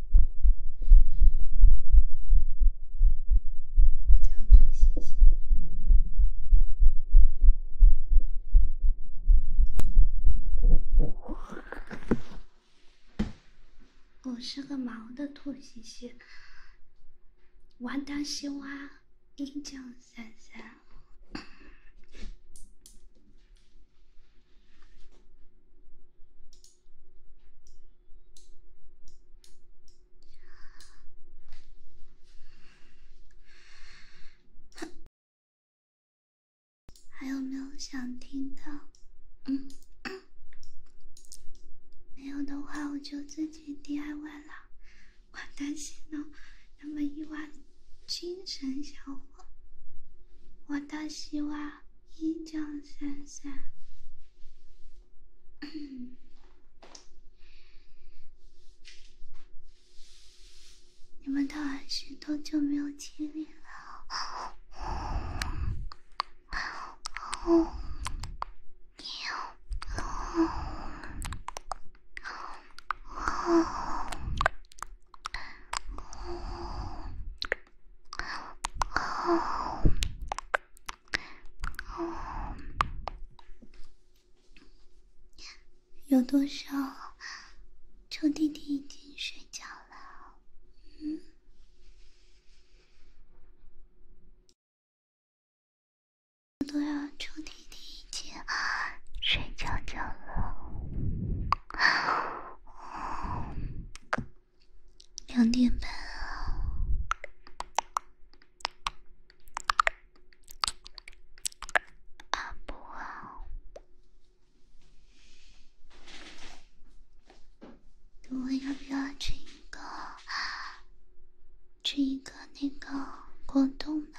我叫兔嘻嘻，我是个毛的兔西嘻，王丹西娃一九三三。还有没有想听的？嗯，没有的话我就自己 DIY 了。我担心呢，那么一晚精神小伙，我倒希望。一九三三，你们都还是多久没有亲你了？有多少臭弟弟已经睡觉了？嗯，有多少臭弟弟已经睡觉觉了？两点半啊，啊不啊，我要不要吃一个，吃一个那个果冻呢？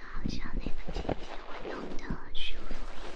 好像那个季节会暖的舒服一些。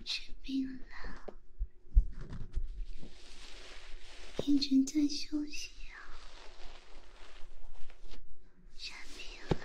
生病了，一直在休息啊。生病了。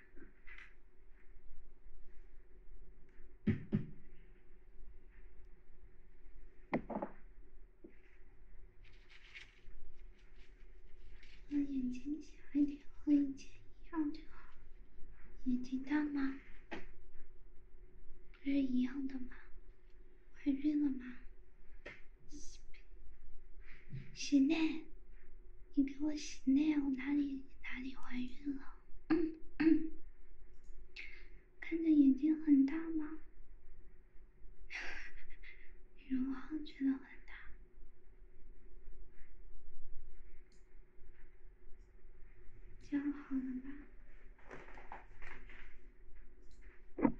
我眼睛小一点和以前一样就好。眼睛大吗？不是一样的吗？怀孕了吗？是咩？你给我洗内我哪里哪里怀孕了？看着眼睛很大吗？女 娲觉得很大，这样好了吧？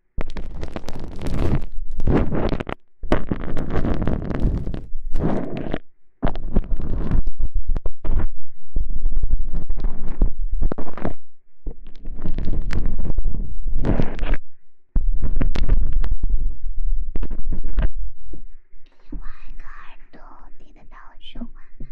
给你挖一个耳朵，听得到我说话吗？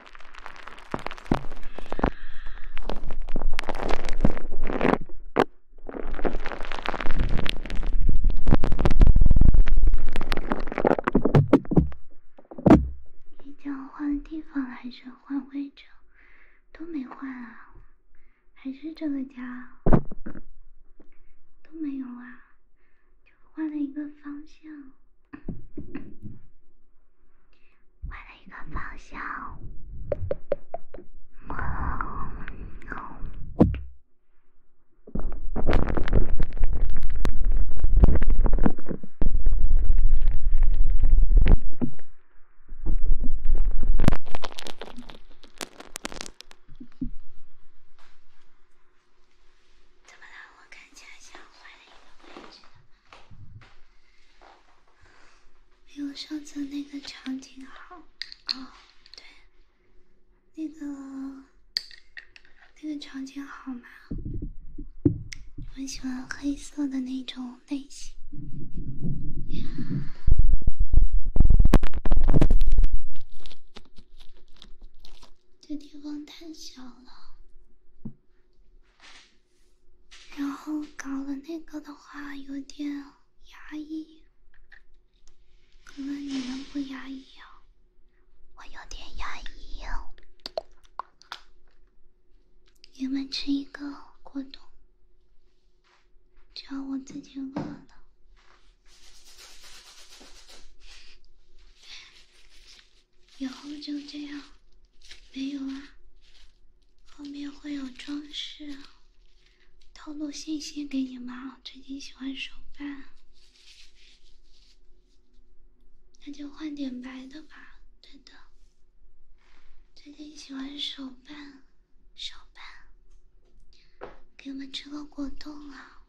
你叫换地方还是换位置？都没换啊，还是这个家，都没有啊。换了一个方向，换了一个方向。怎么了？我感觉像换了一个位置没有上次那个场景好。哦，对，那个那个场景好吗？我喜欢黑色的那种类型。这地方太小了。然后搞了那个的话有点压抑，可能你们不压抑哦，我有点压抑哦。你们吃一个果冻，只要我自己饿了。以后就这样，没有啊。后面会有装饰，透露信息给你们啊。最近喜欢手办，那就换点白的吧。对的，最近喜欢手办，手办，给你们吃个果冻啊。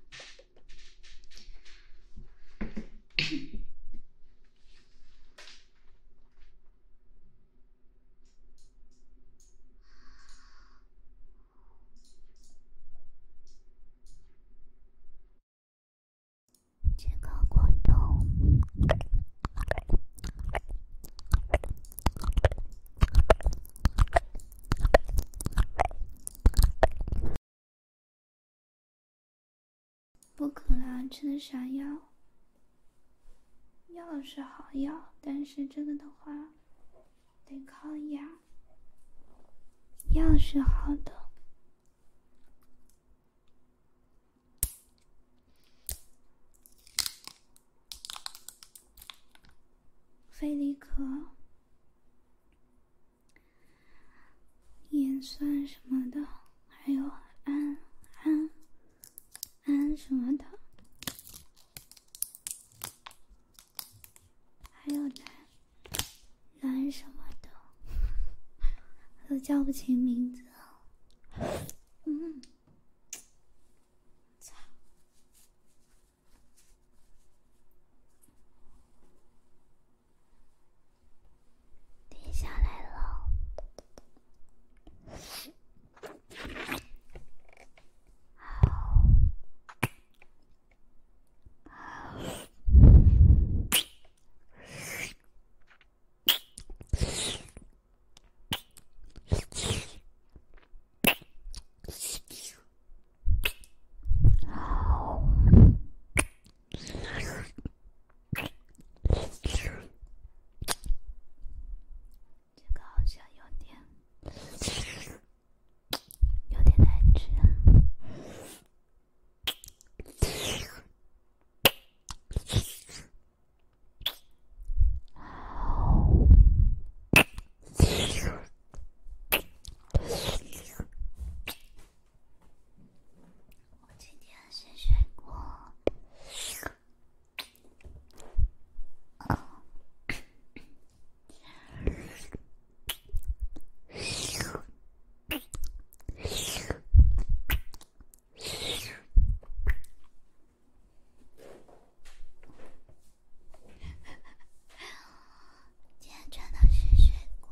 这个光头。不可能，吃的啥药？药是好药，但是这个的话，得靠养。药是好的，菲利可。盐酸什么的，还有氨、氨、氨什么的，还有蓝、蓝什么的，都叫不清名字嗯，操。定下来了。好，好。这个好像有点，有点难吃。我今天是水果。今天穿的是水果。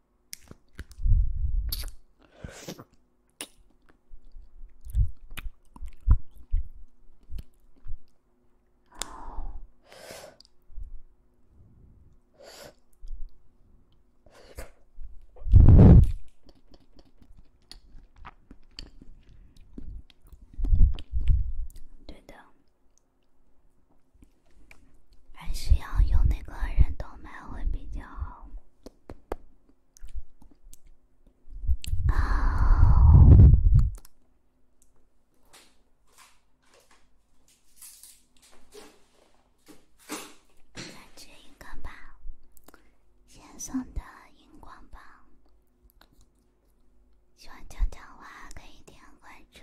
对的，还是要用那个人头麦会比较好。再吃一根吧，先送的荧光棒。喜欢讲讲话可以点关注。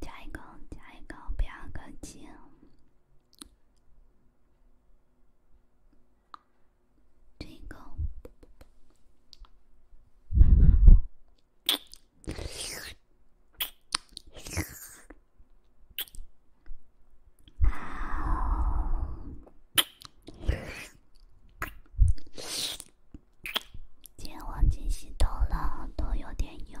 加一个，加一个，不要客气。这个。今天忘记洗头了，头有点油。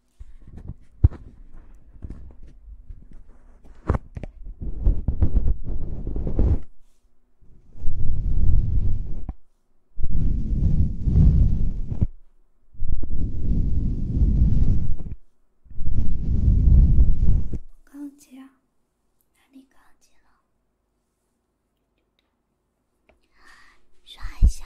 高级了，哪里高级了？刷一下。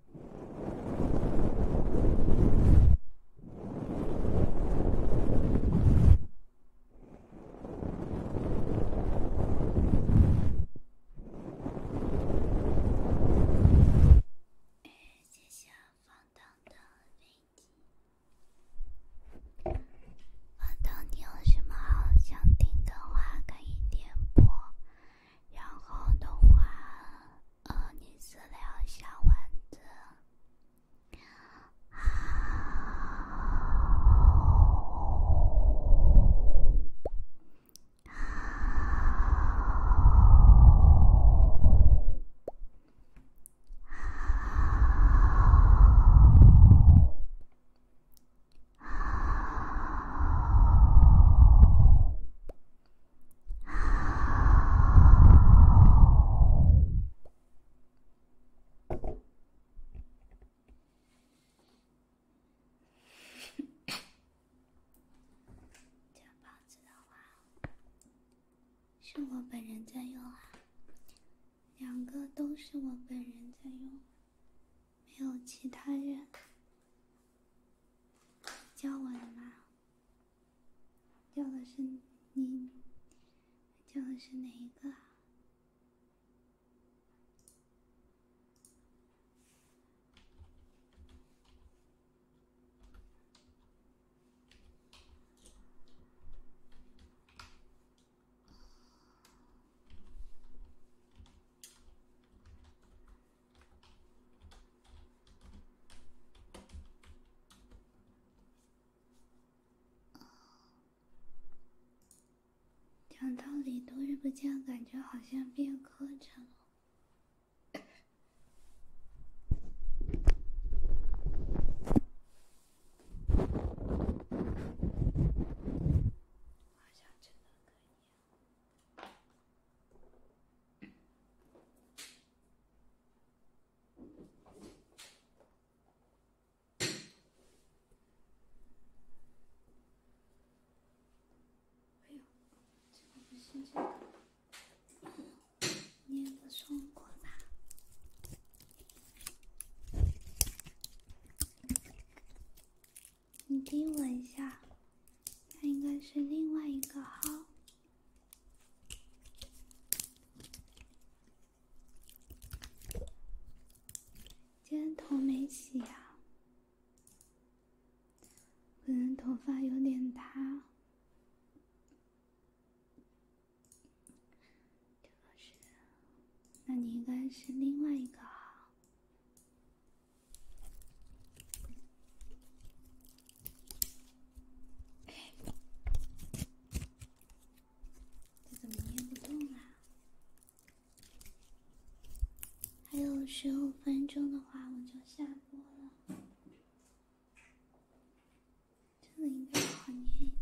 哎，接下来放豆的铃音。放豆，你有什么想听的话可以点播，然后的话。哦，你是聊小丸子？好，好，好，好。这个子的话，是我本人在用啊，两个都是我本人在用，没有其他人。教我的嘛。叫的是你，叫的是哪一个？讲道理，多日不见，感觉好像变磕碜了。哎呦，这个不是这个，捏的松过吧？你盯我一下，那应该是另外一个号。今天头没洗啊，可能头发有点塌。这个是，那你应该是另外一个啊。哎，这怎么捏不动啊？还有十五分钟的话，我就下播了。这个应该好捏一点。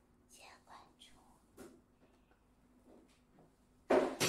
谢关注，谢关注了。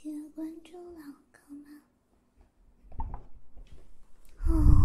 记得关注老哥吗？哦。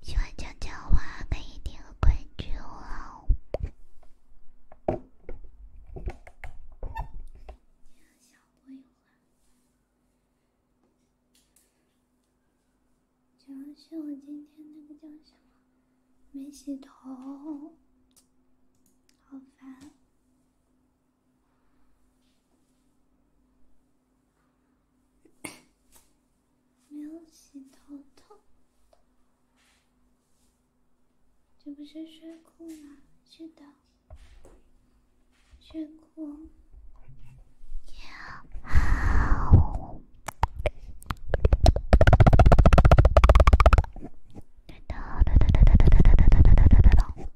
喜欢讲讲的话可以点个关注哦。讲小鬼话，主要是我今天那个叫什么，没洗头，好烦。没有洗头头，这不是睡裤吗？是的，睡裤。真的，真的，真的，真的，真的，真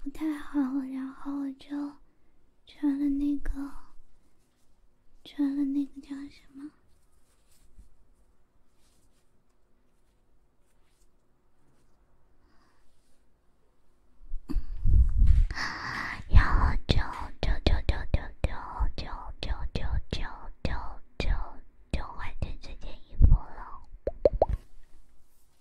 不太好，然后我就穿了那个，穿了那个叫什么？然后就就就就就就就就就就就就换掉这件衣服了。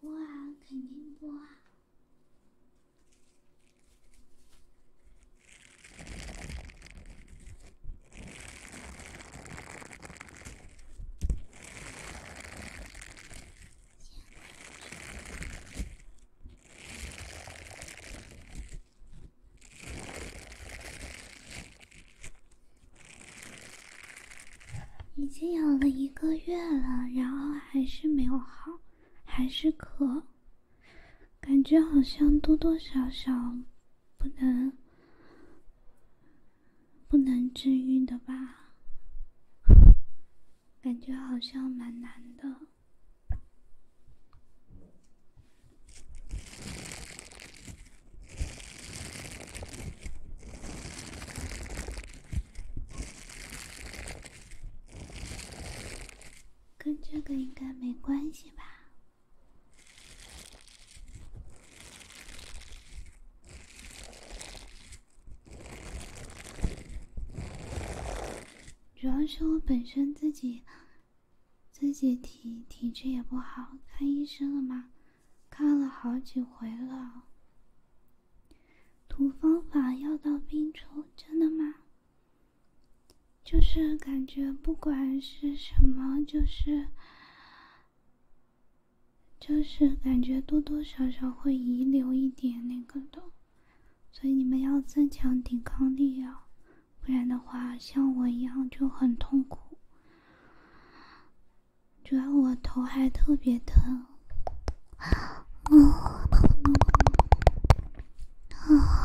播啊，肯定播啊。已经有了一个月了，然后还是没有好，还是咳，感觉好像多多少少不能不能治愈的吧，感觉好像蛮难的。跟这个应该没关系吧？主要是我本身自己自己体体质也不好，看医生了吗？看了好几回了。涂方法要到冰处，真的吗？就是感觉不管是什么，就是，就是感觉多多少少会遗留一点那个的，所以你们要增强抵抗力啊，不然的话，像我一样就很痛苦。主要我头还特别疼，啊！啊！啊！啊！啊！啊！啊！啊！啊！啊！啊！啊！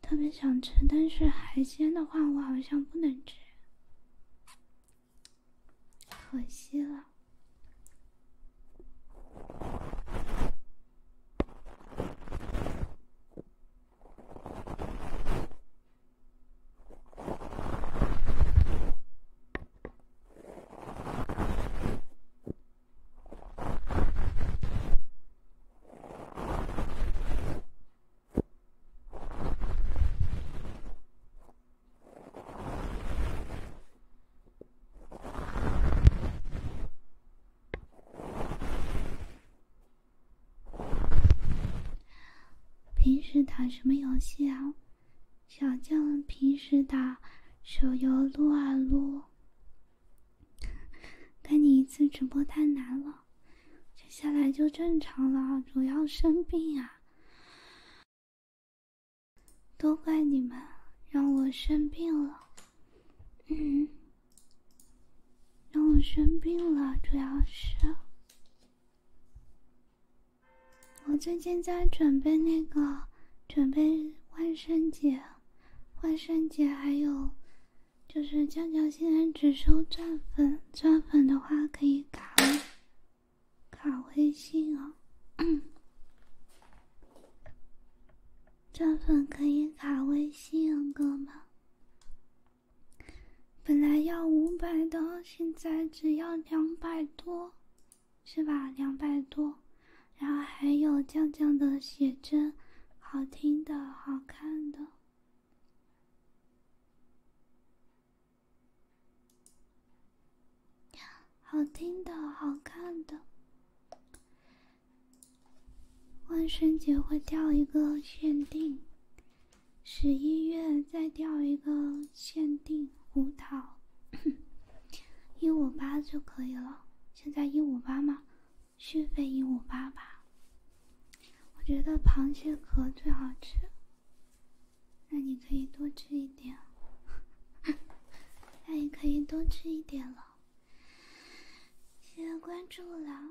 特别想吃，但是海鲜的话，我好像不能吃，可惜了。平时打什么游戏啊？小将平时打手游撸啊撸。看你一次直播太难了，接下来就正常了。主要生病啊，都怪你们让我生病了。嗯，让我生病了，主要是我最近在准备那个，准备万圣节，万圣节还有。就是酱酱现在只收钻粉，钻粉的话可以卡卡微信哦。钻粉可以卡微信，哥们。本来要五百的，现在只要两百多，是吧？两百多，然后还有酱酱的写真。好听的，好看的。好听的，好看的。万圣节会掉一个限定，十一月再掉一个限定舞蹈，一五八就可以了。现在一五八吗？续费一五八吧，我觉得螃蟹壳最好吃，那你可以多吃一点，那你可以多吃一点了，谢谢关注了。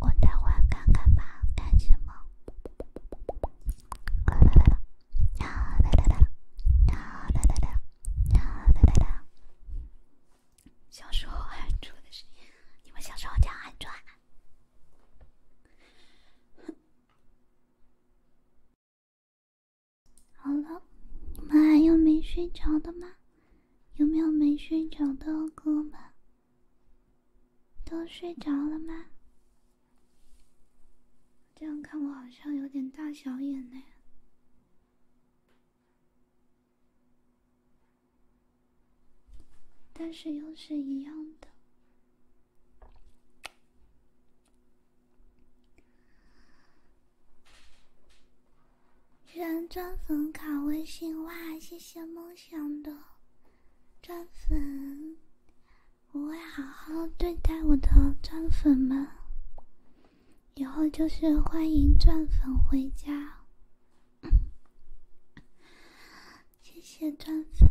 我在玩看看吧，干什么？小时候还的是，你们小时候这样好了，你们还有没睡着的吗？有没有没睡着的哥们？都睡着了吗？这样看我好像有点大小眼呢，但是又是一样的。居然钻粉卡微信哇，谢谢梦想的钻粉，我会好好对待我的钻粉们，以后就是欢迎钻粉回家，谢谢钻粉。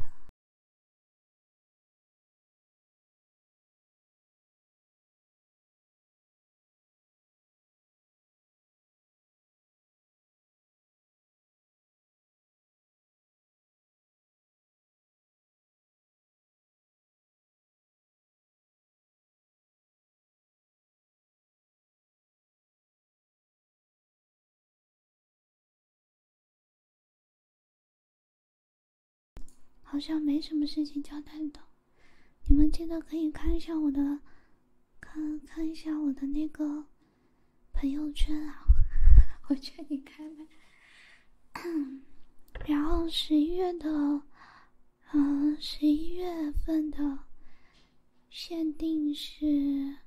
好像没什么事情交代的，你们记得可以看一下我的。看看一下我的那个朋友圈啊，我劝你开麦。然后十一月的，嗯，十一月份的限定是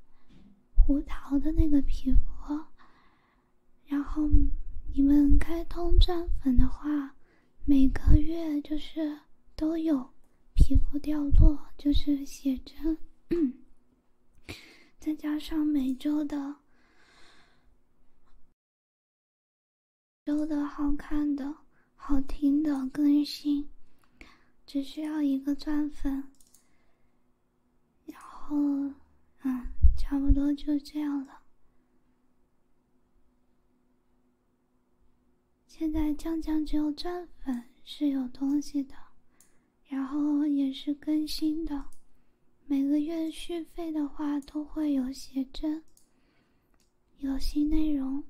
胡桃的那个皮肤。然后你们开通钻粉的话，每个月就是都有。皮肤掉落就是写真，再加上每周的、周的好看的、好听的更新，只需要一个钻粉，然后，嗯，差不多就这样了。现在将将只有钻粉是有东西的，然后也是更新的，每个月续费的话都会有写真，有新内容，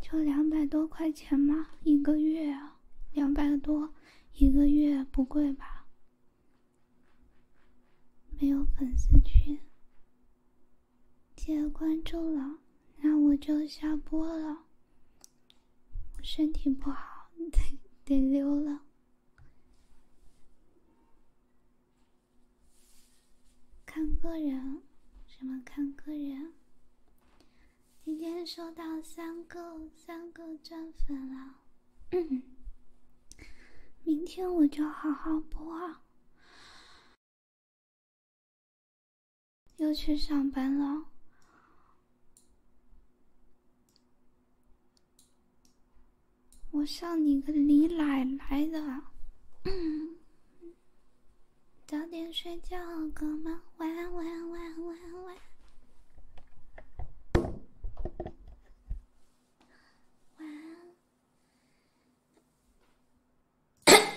就两百多块钱嘛一个月啊，两百多一个月不贵吧？没有粉丝群。谢谢关注了，那我就下播了。我身体不好，得得溜了。看个人，什么看个人。今天收到三个三个钻粉了，明天我就好好播。又去上班了，我上你个李奶奶的！早点睡觉，哥们，晚晚晚晚晚，晚。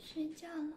睡觉了，